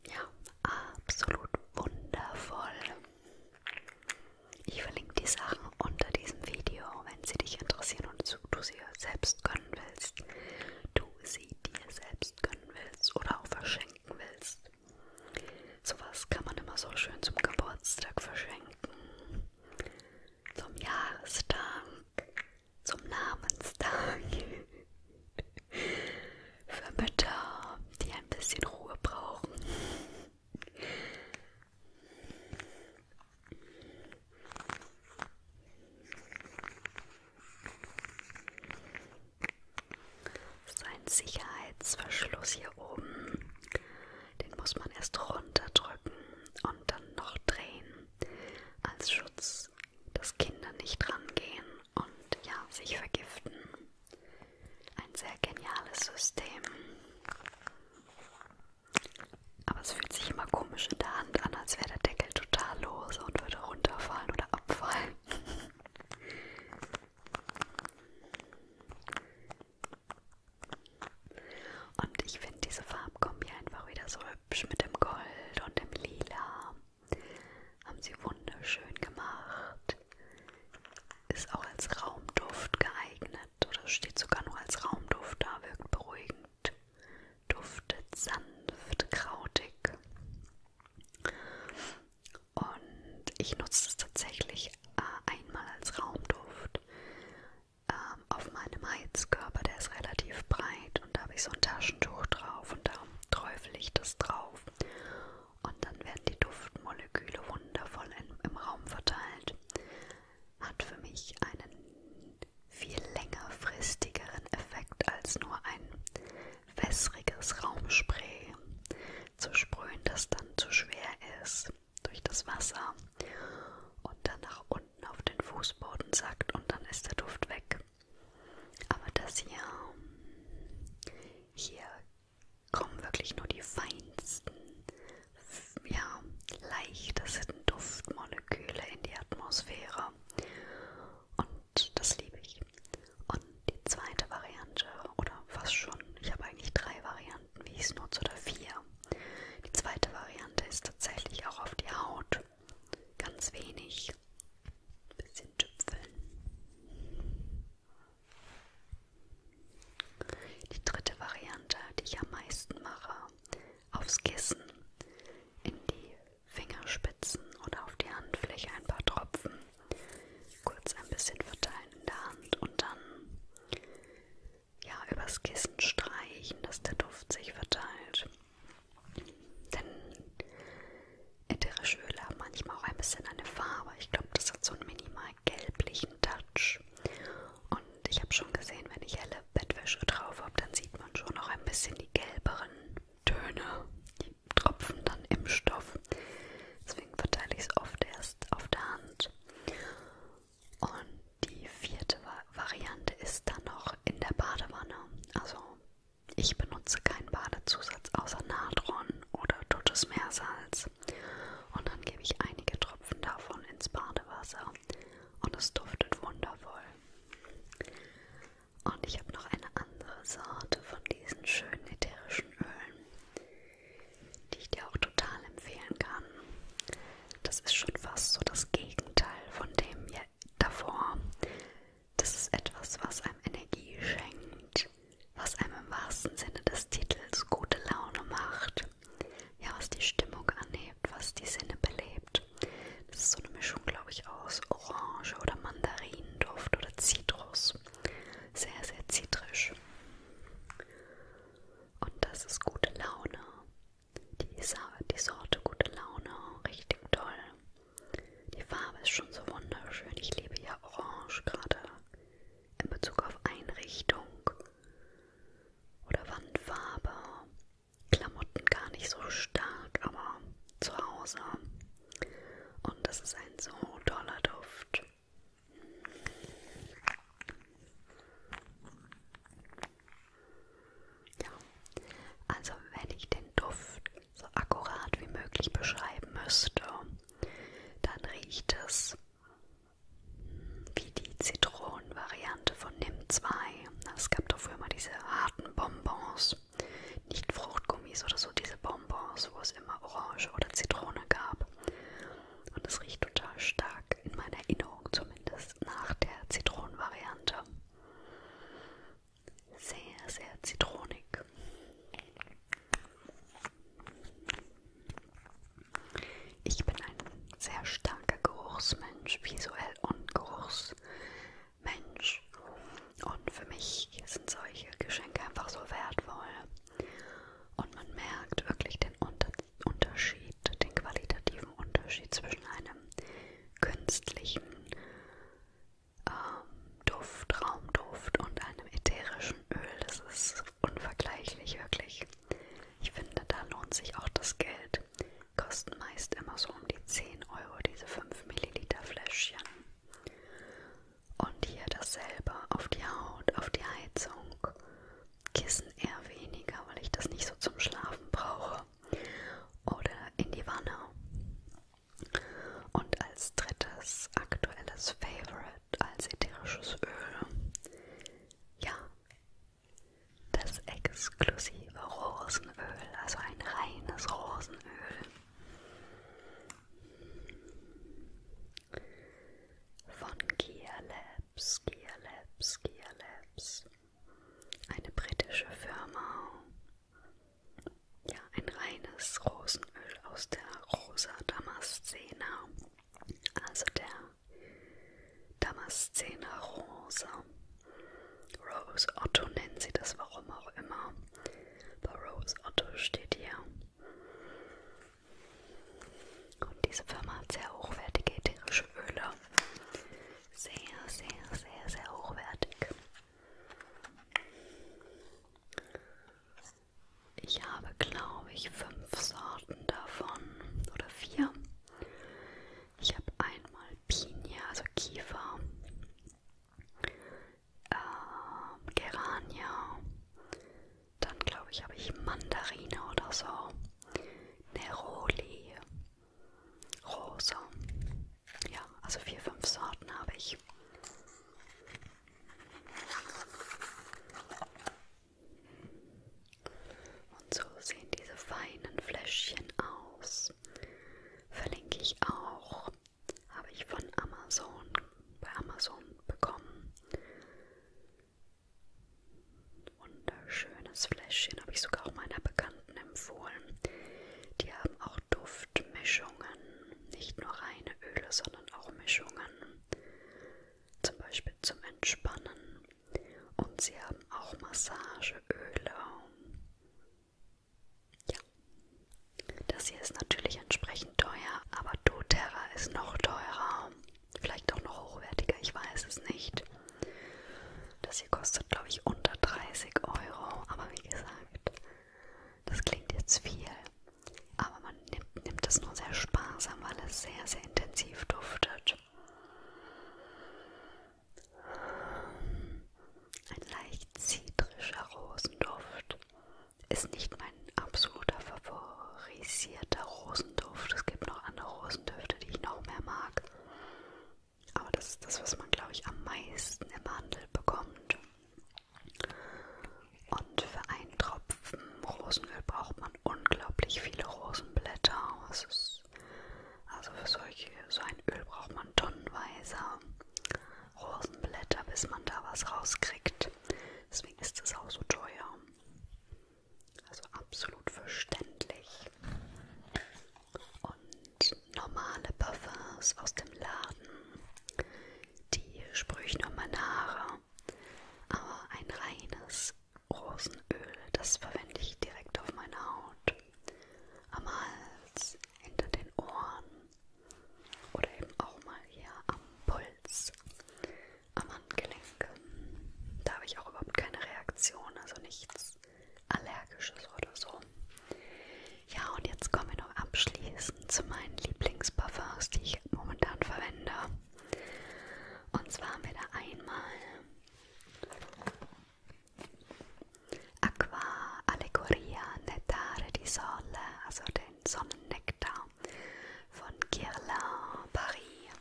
Ja, absolut wundervoll. Ich verlinke die Sachen unter diesem Video, wenn sie dich interessieren und du sie selbst gönnen willst, du sie dir selbst gönnen willst oder auch verschenken willst. Sowas kann man immer so schön zum Geburtstag verschenken, zum Jahrestag, zum Namenstag, für Mütter, die ein bisschen Ruhe brauchen. Sein Sicherheitsverschluss hier oben, den muss man erst runterdrücken und dann noch drehen als Schutz, dass Kinder nicht rangehen und ja, sich vergiften. Ein sehr geniales System. Aber es fühlt sich immer komisch in der Hand an, als wäre der Deckel total lose und würde runterfallen oder abfallen. Und ich finde diese Farbkombi einfach wieder so hübsch mit dem Gold und dem Lila. Haben sie wunderschön gemacht. Ist auch als Raumduft geeignet oder steht sogar nur als Raumduft da, wirkt beruhigend schmeckt, duftet sanft, krautig. Und ich nutze es tatsächlich äh, einmal als Raumduft ähm, auf meinem Heizkörper, der ist relativ breit und da habe ich so ein Taschentuch drauf und darum träufel ich das drauf. Und dann werden die Duftmoleküle wundervoll in, im Raum verteilt. Hat für mich einen viel längerfristigeren Effekt als nur ein wässriges Raumspray zu sprühen, das dann zu schwer ist durch das Wasser und dann nach unten auf den Fußboden sackt und dann ist der Duft weg. Aber das hier, hier kommen wirklich nur die feinsten, ja, leichtesten Duftmoleküle in die Atmosphäre. Und das liebe ich. Und die zweite Variante, oder fast schon, ich habe eigentlich drei Varianten, wie ich es nutze, oder vier. Die zweite Variante ist tatsächlich auch auf die Haut. Ganz wenig. Bisschen tüpfeln. Die dritte Variante, die ich am meisten mache, aufs Kissen, in die Fingerspitzen oder auf die Handfläche ein paar Tropfen kurz ein bisschen verteilen in der Hand und dann ja übers Kissen streichen, dass der Duft sich verteilt. Denn ätherische Öle haben manchmal auch ein bisschen eine Farbe. Ich glaube, das hat so einen minimal gelblichen Touch. Und ich habe schon gesehen, wenn ich helle Bettwäsche drauf habe, dann sieht man schon noch ein bisschen die gelbere anderen Töne, die tropfen dann im Stoff. Deswegen verteile ich es oft erst auf der Hand. Und die vierte Variante ist dann noch in der Badewanne. Also ich benutze keinen Badezusatz außer Natron oder totes Meersalz. Und dann gebe ich einige Tropfen davon ins Badewasser und es duftet wundervoll. Und ich habe noch eine andere Sorte von diesen schönen ätherischen Ölen, die ich dir auch total empfehlen kann. Das ist schon fast so das Gegenteil von dem ja, davor. Das ist etwas, was einem Energie schenkt, was einem im wahrsten Sinne des Titels gute Laune macht, ja, was die Stimmung anhebt, was die Sinne belebt erlebt. Das ist so eine Mischung, glaube ich, aus Orange oder Mandarinenduft oder Zitrus. Sehr, sehr zitrisch. Und das ist gute Laune. Die, Sa die Sorte gute Laune, richtig toll. Die Farbe ist schon so wunderschön. Ich liebe ja Orange gerade in Bezug auf Einrichtung oder Wandfarbe Klamotten gar nicht so stark, aber zu Hause. Und das ist ein so toller Duft. Ja, also wenn ich den Duft so akkurat wie möglich beschreiben müsste, dann riecht es wie die Zitronenvariante von NIM 2 es gab doch früher mal diese harten Bonbons, nicht Fruchtgummis oder so, diese Bonbons, wo es immer Orange oder Zitrone gab. Und es riecht total stark, in meiner Erinnerung zumindest, nach der Zitronenvariante. Sehr, sehr zitronig. Ich bin ein sehr starker Geruchsmensch, visuell und geruchstechnisch Mensch. Und für mich sind solche Geschenke einfach so wertvoll. Und man merkt wirklich den Unter Unterschied, den qualitativen Unterschied zwischen einem künstlichen ähm, Duft, Raumduft und einem ätherischen Öl. Das ist unvergleichlich, wirklich. Ich finde, da lohnt sich auch das Geld Kosten meist immer so um die 10 Euro diese 5 Milliliter Fläschchen. Und hier dasselbe auf die Haut, auf die Heizung. Kissen eher weniger, weil ich das nicht so zum Schlafen brauche. Oder in die Wanne. Und als drittes aktuelles Favorite als ätherisches Öl. Ja, das exklusive liebe Rosenöl, also ein reines Rosenöl. Von Gear Labs, Gear Labs, Gear Labs. Eine britische Firma. Ja, ein reines Rosenöl aus der Rosa Damascena. Also der Damascena Rose. Rose Otto nennen sie das, warum auch immer. Bei Rose Otto steht hier. Und diese Firma hat sehr hochwertige ätherische Öle. Sehr, sehr, sehr, sehr hochwertig. Ich habe, glaube ich, fünf Sorten davon oder vier. Ich habe einmal Pinie, also Kiefer, ähm, Gerania. Dann glaube ich, habe ich Mandarine oder so. Neroli. Rose. Ja, also vier, fünf Sorten habe ich. Und so sehen diese feinen Fläschchen aus. Verlinke ich auch. Habe ich von Amazon, bei Amazon bekommen. Wunderschönes Fläschchen. Habe ich sogar auch meiner Bekannten empfohlen. Die haben auch Duftmischungen. Nicht nur reine Öle, sondern auch Mischungen. Zum Beispiel zum Entspannen. Und sie haben auch Massageöle. Ja. Das hier ist natürlich entsprechend teuer, aber doTERRA ist noch teurer. Vielleicht auch noch hochwertiger, ich weiß es nicht. Das hier kostet, glaube ich, unter 30 Euro. Aber wie gesagt, das klingt jetzt viel. Aber man nimmt, nimmt es nur sehr sparsam, weil es sehr, sehr intensiv duftet. Ein leicht zitrischer Rosenduft ist nicht mein absoluter favorisierter Rosenduft. Es gibt noch andere Rosendüfte, die ich noch mehr mag. Aber das ist das, was man, glaube ich, am meisten im Handel bekommt. Und für einen Tropfen Rosenöl braucht man unglaublich viele Rosenblätter. Ist, also für solche, so ein Öl braucht man tonnenweise. Rosenblätter, bis man da was rauskriegt. Deswegen ist es auch so teuer. Also absolut verständlich. Und normale Parfums aus dem Laden, die sprühe ich nur meine Haare. Aber ein reines Rosenöl, das verwende ich direkt auf meine Haut. Am Hals, hinter den Ohren oder eben auch mal hier am Puls, am Handgelenk. Da habe ich auch überhaupt keine Reaktion, also nichts Allergisches oder so. Ja, und jetzt kommen wir noch abschließend zu meinen Lieblingsparfums, die ich momentan verwende. Und zwar haben wir da einmal Aqua, Allegoria, Nettare di Sole, also den Sonnennektar von Guerlain, Paris.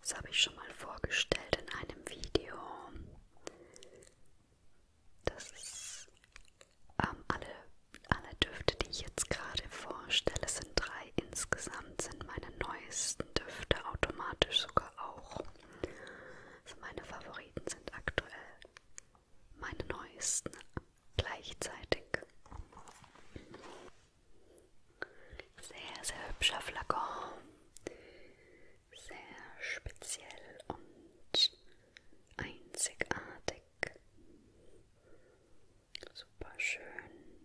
Das habe ich schon mal vorgestellt in einem Video. Das ist ähm, alle, alle Düfte, die ich jetzt gerade vorstelle, sind drei insgesamt, sind meine neuesten Düfte automatisch sogar auch. Also meine Favoriten sind aktuell meine neuesten gleichzeitig. Sehr, sehr hübscher Flakon. Sehr speziell und einzigartig. Super schön.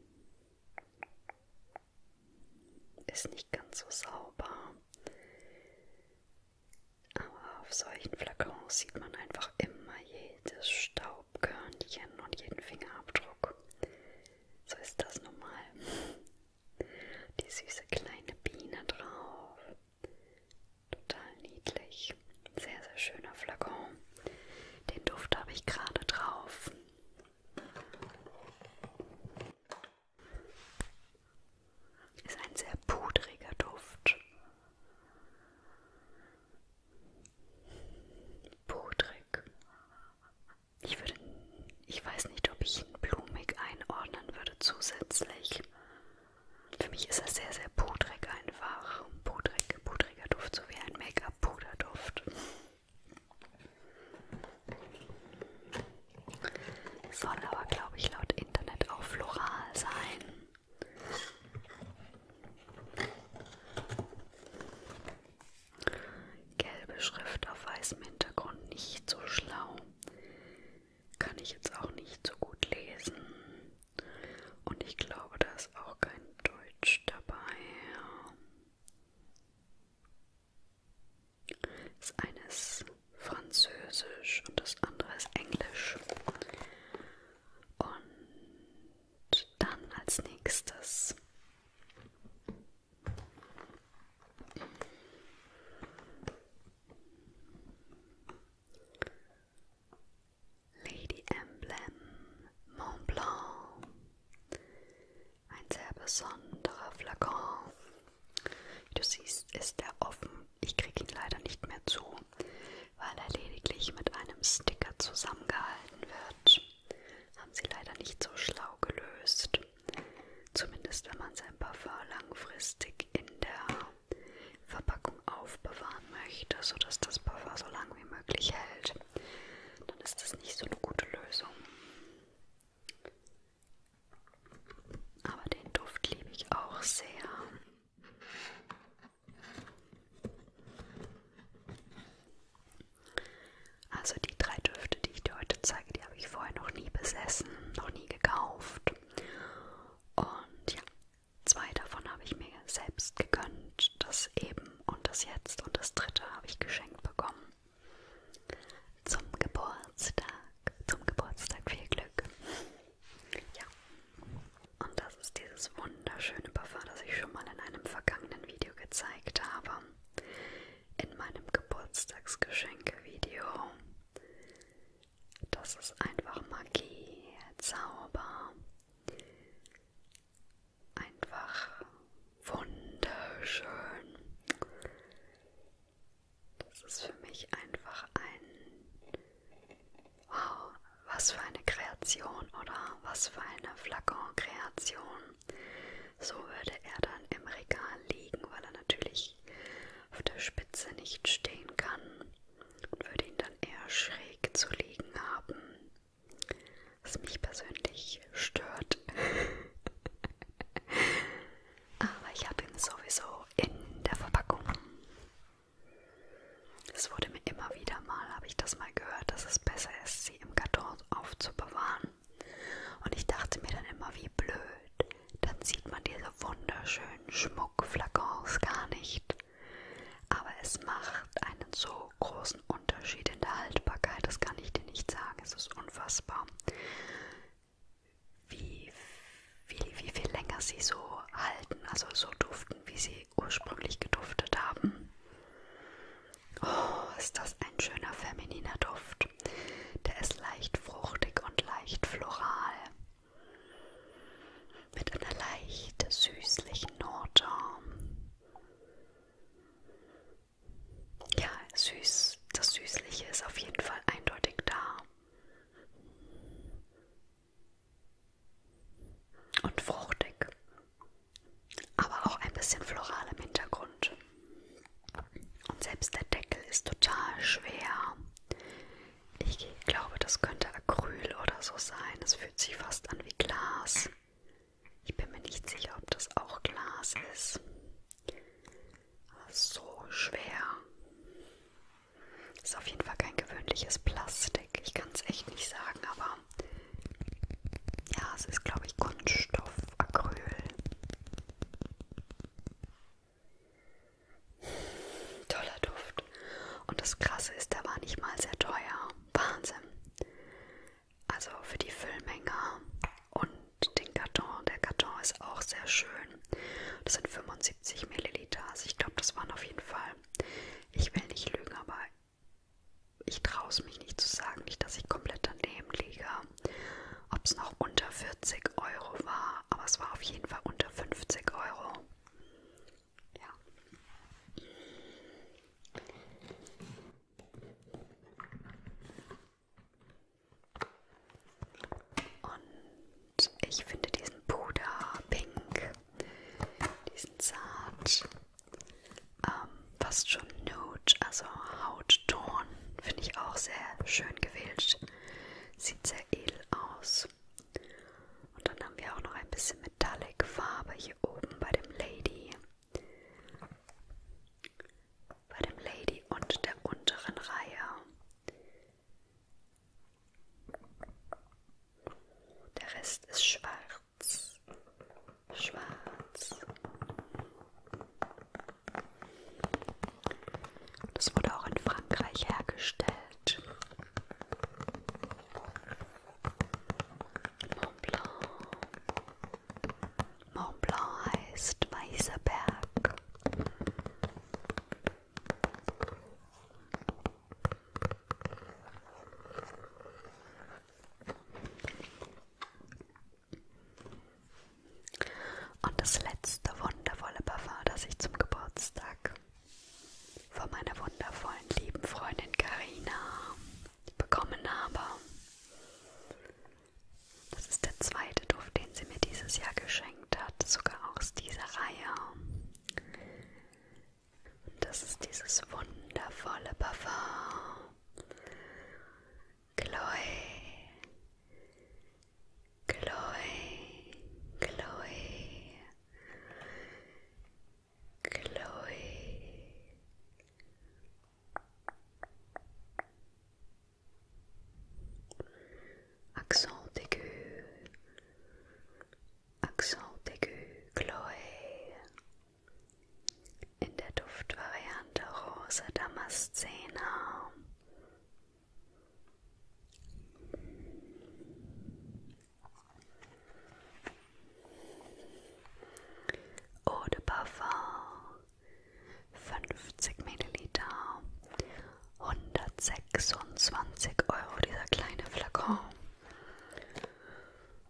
Ist nicht ganz so sauber. Aber auf solchen Flakons sieht man einfach immer jedes Staubkörnchen und jeden Fingerabdruck. So ist das normal. Die süße kleine Biene drauf. Total niedlich. Sehr, sehr schöner Flakon. Den Duft habe ich gerade drauf. Ist ein sehr pudriger Duft. Pudrig. Ich würde, ich weiß nicht, ob ich ihn blumig einordnen würde zusätzlich. Für mich ist er sehr, sehr pudrig einfach. Pudrig, pudriger Duft, so wie ein Make-up-Puderduft. Soll aber, glaube ich, laut Internet auch floral sein. Gelbe Schrift auf weißem Hintergrund nicht so schlau. Kann ich jetzt auch nicht so gut lesen. Und ich glaube, da ist auch kein Deutsch dabei. Das eine ist Französisch und das andere ist Englisch. Und dann als nächstes Lady Emblem Mont Blanc. Ein sehr besonderer Flakon wie du siehst, ist er offen. Ich kriege ihn leider nicht mehr zu, weil er lediglich mit einem Sticker zusammengehalten wird. Haben sie leider nicht so schlau gelöst. Zumindest wenn man sein Parfum langfristig in der Verpackung aufbewahren möchte, sodass das Parfum so lange wie möglich hält, dann ist das nicht so eine gute Lösung. Aber den Duft liebe ich auch sehr. Also die drei Düfte, die ich dir heute zeige, die habe ich vorher noch nie besessen, noch nie gekauft. Und ja, zwei davon habe ich mir selbst gegönnt, das eben und das jetzt und das dritte habe ich geschenkt bekommen zum Geburtstag. Zum Geburtstag viel Glück. Ja. Und das ist dieses wunderschöne Parfum, das ich schon mal in einem vergangenen Video gezeigt habe. In meinem Geburtstagsgeschenke-Video. Das ist einfach Magie, Zauber. Einfach wunderschön. Das ist für mich einfach ein Wow, was für eine Kreation oder was für eine Flakon-Kreation. So würde er dann im Regal liegen, weil er natürlich auf der Spitze nicht stehen kann und würde ihn dann eher schräg zu liegen haben. Was mich persönlich stört. aber ich habe ihn sowieso in der Verpackung. Es wurde mir immer wieder mal, habe ich das mal gehört, dass es besser ist, sie im Karton aufzubewahren. Und ich dachte mir dann immer, wie blöd. Dann sieht man diese wunderschönen Schmuckflakons gar nicht. Aber es macht einen so großen Unterschied in der Haltbarkeit, das kann ich dir nicht sagen, es ist unfassbar wie, wie, wie viel länger sie so halten, also so duften, wie sie ursprünglich geduftet haben. Oh, ist das ein schöner femininer Duft. Der ist leicht fruchtig und leicht floral. Mit einer leicht süßlichen Note. Ja, süß, das Süßliche ist auf jeden Fall eindeutig da und fruchtig, aber auch ein bisschen floral im Hintergrund. Und selbst der Deckel ist total schwer. Ich glaube, das könnte Acryl oder so sein. Es fühlt sich fast an wie Glas. Ich bin mir nicht sicher, ob das auch Glas ist. So schwer. Ist auf jeden Fall kein gewöhnliches Plastik. Ich kann es echt nicht sagen, aber ja, es ist, glaube ich, Kunststoff, Acryl. Toller Duft. Und das Krasse ist, der war nicht mal sehr teuer. Wahnsinn. Also für die Füllmenge und den Karton. Der Karton ist auch sehr schön. Das sind 75 70 Milliliter. Also ich glaube, das waren auf jeden Fall. Ich will nicht lügen, aber ich traue es mich nicht zu sagen, nicht, dass ich komplett daneben liege. Ob es noch unter 40 Euro war, aber es war auf jeden Fall unter 50 Euro. Ja. Und ich finde diesen Puder pink, diesen zart, ähm, fast schon Nude, also Hautton, finde ich auch sehr schön gewählt. Sieht sehr edel aus. Und dann haben wir auch noch ein bisschen Metallic Farbe hier oben bei dem Lady. Bei dem Lady und der unteren Reihe. Der Rest ist schwarz. Schwarz. Das wurde auch in Frankreich hergestellt. Mont Blanc. Mont Blanc heißt Weißer Berg. Und das letzte wundervolle Parfum, das ich zum Geburtstag von meiner wundervollen lieben Freundin Karina bekommen habe. Das ist der zweite Duft, den sie mir dieses Jahr geschenkt verschenkt hat, sogar aus dieser Reihe. Und das ist dieses wundervolle Parfum. Chloe, Chloe, Chloe, Chloe. Accent aigu, Accent aigu, Chloe. In der Duftvariante Rose Damascena. Eau de Parfum 50 Milliliter 126 Euro dieser kleine Flakon.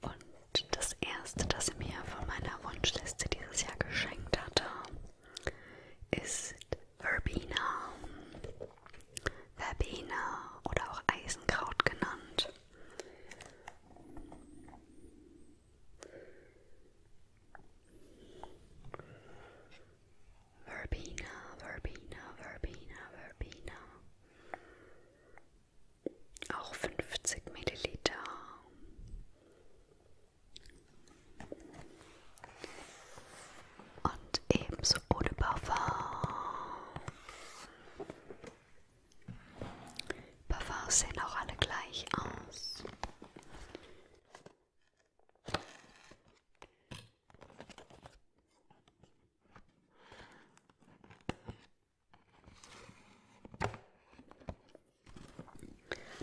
Und das erste, das sie mir von meiner Wunschliste dieses Jahr geschenkt hatte, ist Verbena. Verbena oder auch Eisenkraut genannt. Verbena, Verbena, Verbena, Verbena. Auch 50 Milliliter. Und ebenso ohne Parfum. Parfums sehen auch alle gleich aus.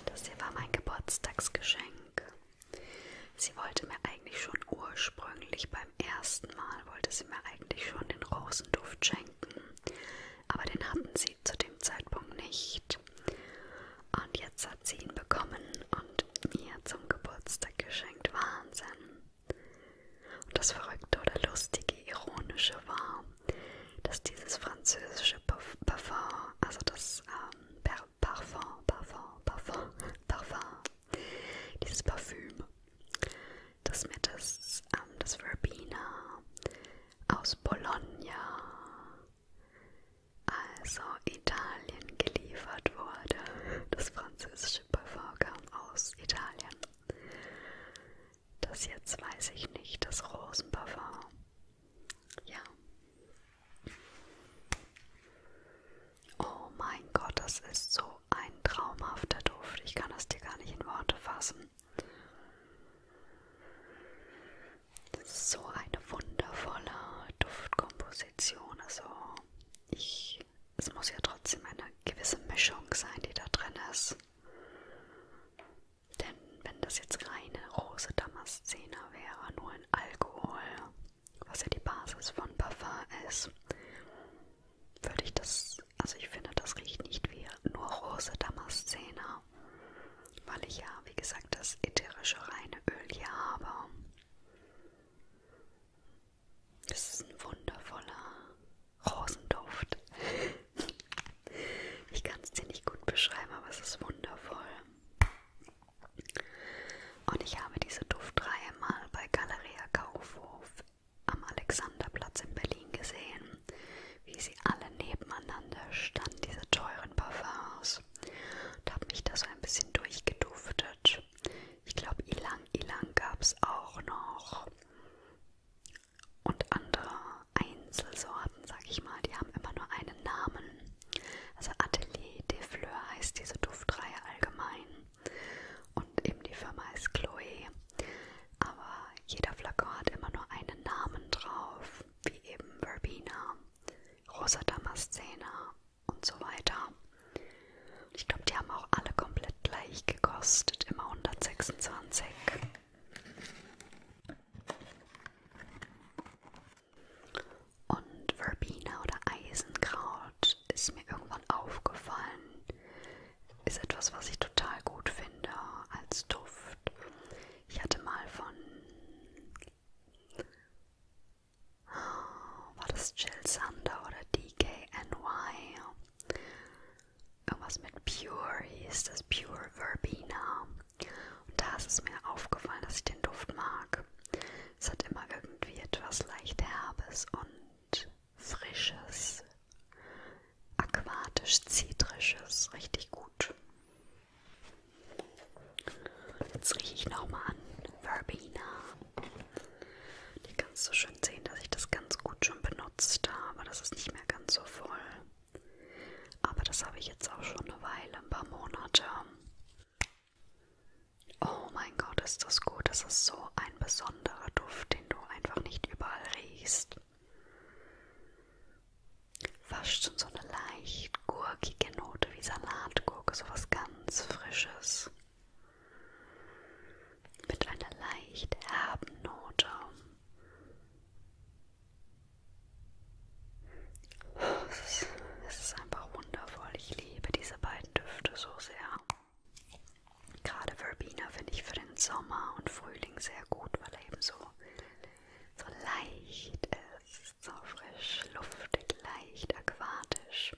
Das hier war mein Geburtstagsgeschenk. Sie wollte mir eigentlich schon ursprünglich beim ersten Mal, wollte sie mir eigentlich schon den Rosenduft schenken, aber den hatten sie zu dem Zeitpunkt nicht. Und jetzt hat sie ihn bekommen und mir zum Geburtstag geschenkt. Wahnsinn. Und das Verrückte oder Lustige, Ironische war, dass dieses französische Parfum, also das ähm, Parfum, Parfum, Parfum, Parfum, dieses Parfüm, dass mir das, ähm, das Verbena aus Bologna also Italien geliefert wurde. Das französische Parfum kam aus Italien. Das jetzt weiß ich nicht, das Rosenparfum. Ja. Oh mein Gott, das ist so ein traumhafter Duft. Ich kann das dir gar nicht in Worte fassen. Das ist so eine wundervolle Duftkomposition. Komposition. Also ich, es muss ja trotzdem eine gewisse Mischung sein, die da drin ist. Denn wenn das jetzt reine rose Damascena wäre, nur in Alkohol, was ja die Basis von Parfum ist, würde ich das, also ich finde, das riecht nicht wie nur rose Damascena, weil ich ja, wie gesagt, das ätherische reine Öl hier habe. Das ist ein wundervoller Rosenduft. Ich kann es dir nicht gut beschreiben, aber es ist wundervoll. Und ich habe diese Duftreihe mal bei Galeria Kaufhof am Alexanderplatz in Berlin gesehen, wie sie alle nebeneinander standen, diese teuren Parfums. Und habe mich da so ein bisschen durchgeduftet. Deutsch. Ich glaube, Ilang Ilang gab es auch noch. Und andere Einzelsorten, sag ich mal, die haben immer nur einen Namen. Also Atelier des Fleurs heißt diese Duftreihe allgemein. Und eben die Firma ist Chloe. Aber jeder Flakon hat immer nur einen Namen drauf, wie eben Verbena, Rosa Damascena und so weiter. Ich glaube, die haben auch alle komplett gleich gekostet, immer 126. Und Verbena oder Eisenkraut ist mir irgendwann aufgefallen. Ist etwas, was ich total gut finde als Duft. Ich hatte mal von war das Jill Sander oder DKNY? Irgendwas mit Pure hieß das, Pure Verbena. Und da ist es mir aufgefallen, dass ich den Duft mag. Es hat immer irgendwie etwas leicht Herbes und Frisches, aquatisch-zitrisches, richtig gut. Jetzt rieche ich nochmal an Verbena. Hier kannst du schön sehen, dass ich das ganz gut schon benutzt habe. Das ist nicht mehr ganz so voll. Aber das habe ich jetzt auch schon eine Weile, ein paar Monate. Oh mein Gott, ist das gut. Das ist so ein besonderer Duft, den du einfach nicht überall riechst. Fast schon so eine leicht gurkige Note wie Salatgurke, so was ganz Frisches. Holz mit einer leicht herben Note. Es ist, es ist einfach wundervoll. Ich liebe diese beiden Düfte so sehr. Gerade Verbena finde ich für den Sommer und Frühling sehr gut, weil er eben so, so leicht ist, so frisch, luftig, leicht, aquatisch.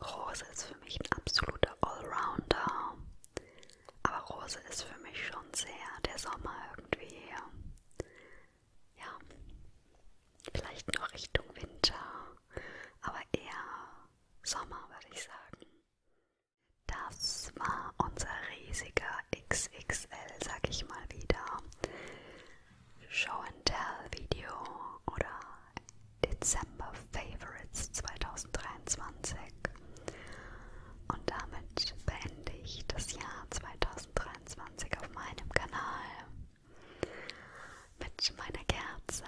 Rose ist für mich ein absoluter Allrounder. Aber Rose ist für mich schon sehr der Sommer irgendwie. Ja, vielleicht noch Richtung Winter, aber eher Sommer, würde ich sagen. Das war unser riesiger XXL, sag ich mal wieder. Show and Tell Video oder Dezember Favorites 2023. Und damit beende ich das Jahr 2023 auf meinem Kanal mit meiner Kerze.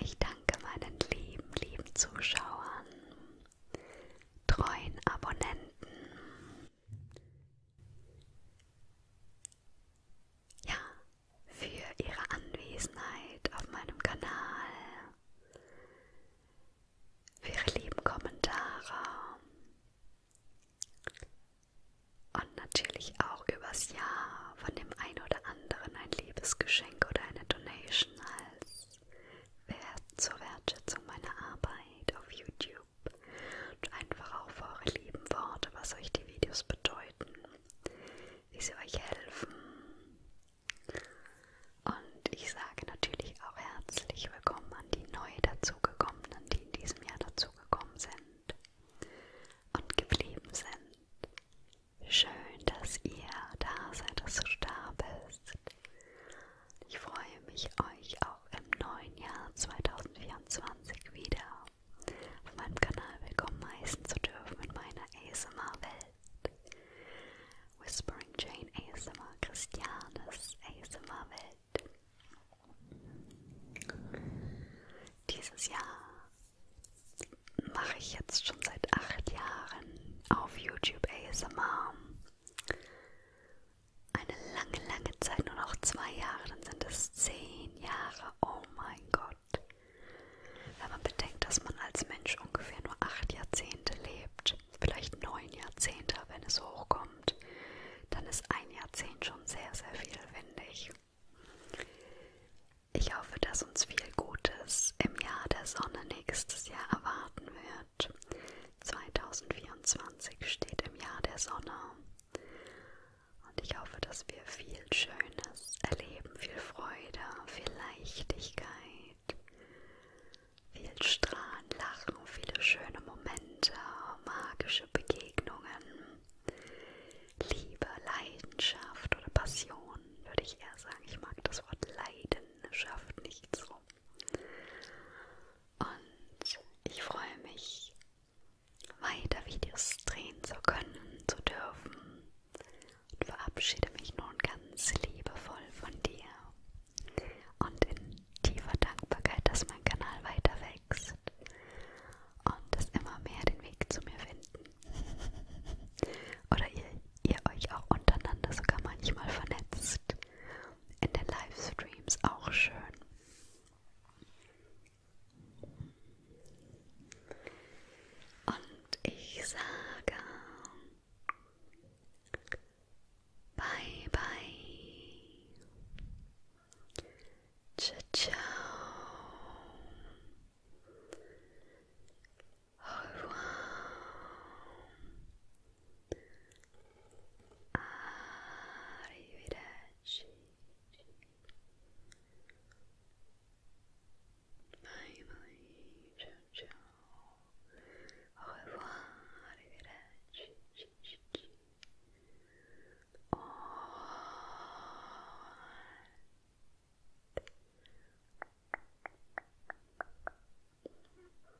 Ich danke meinen lieben, lieben Zuschauern treuen Abonnenten. Ja, für Ihre Anwesenheit auf meinem Kanal, für Ihre lieben Kommentare und natürlich auch übers Jahr von dem einen oder anderen ein Liebesgeschenk oder eine Donation als Wert zur Wertschätzung meiner Arbeit auf YouTube und einfach auf eure lieben Worte, was euch die Videos bedeuten, wie sie euch helfen. Und ich sage natürlich auch herzlich willkommen an die neu dazugekommenen, die in diesem Jahr dazugekommen sind und geblieben sind. Schön, dass ihr da seid, dass du da bist. Ich freue mich, euch auch im neuen Jahr 2024 wieder auf meinem Kanal willkommen heißen zu dürfen in meiner ASMR-Welt. Whispering Jane ASMR, Christianes ASMR-Welt. Dieses Jahr mache ich jetzt schon seit acht Jahren auf YouTube ASMR eine lange, lange Zeit, nur noch zwei Jahre, dann sind es zehn Jahre. Oh mein Gott. Wenn man bedenkt, dass man als Mensch ungefähr nur acht Jahrzehnte lebt, vielleicht neun Jahrzehnte, wenn es hochkommt, dann ist ein Jahrzehnt schon sehr, sehr viel, finde ich. Ich hoffe, dass uns viel Gutes im Jahr der Sonne nächstes Jahr erwarten wird. Monat. 2024 steht im Jahr der Sonne. Und ich hoffe, dass wir viel Schönes erleben, viel Freude, viel Leichtigkeit, viel Strahlen, Lachen, viele schöne Momente, magische Begegnungen, Liebe, Leidenschaft oder Passion, würde ich eher sagen. Ich mag das Wort Leidenschaft nicht so. Und ich freue mich, weiter Videos drehen zu können, zu dürfen und verabschiede mich nun ganz liebevoll von dir und in tiefer Dankbarkeit, dass mein Kanal weiter wächst und dass immer mehr den Weg zu mir finden. Oder ihr, ihr euch auch untereinander sogar manchmal vernetzt in den Livestreams auch schön. Und ich sage Bye bye. Ciao ciao. Au revoir. Arrivederci. Bye bye. Ciao ciao. Au revoir. Arrivederci.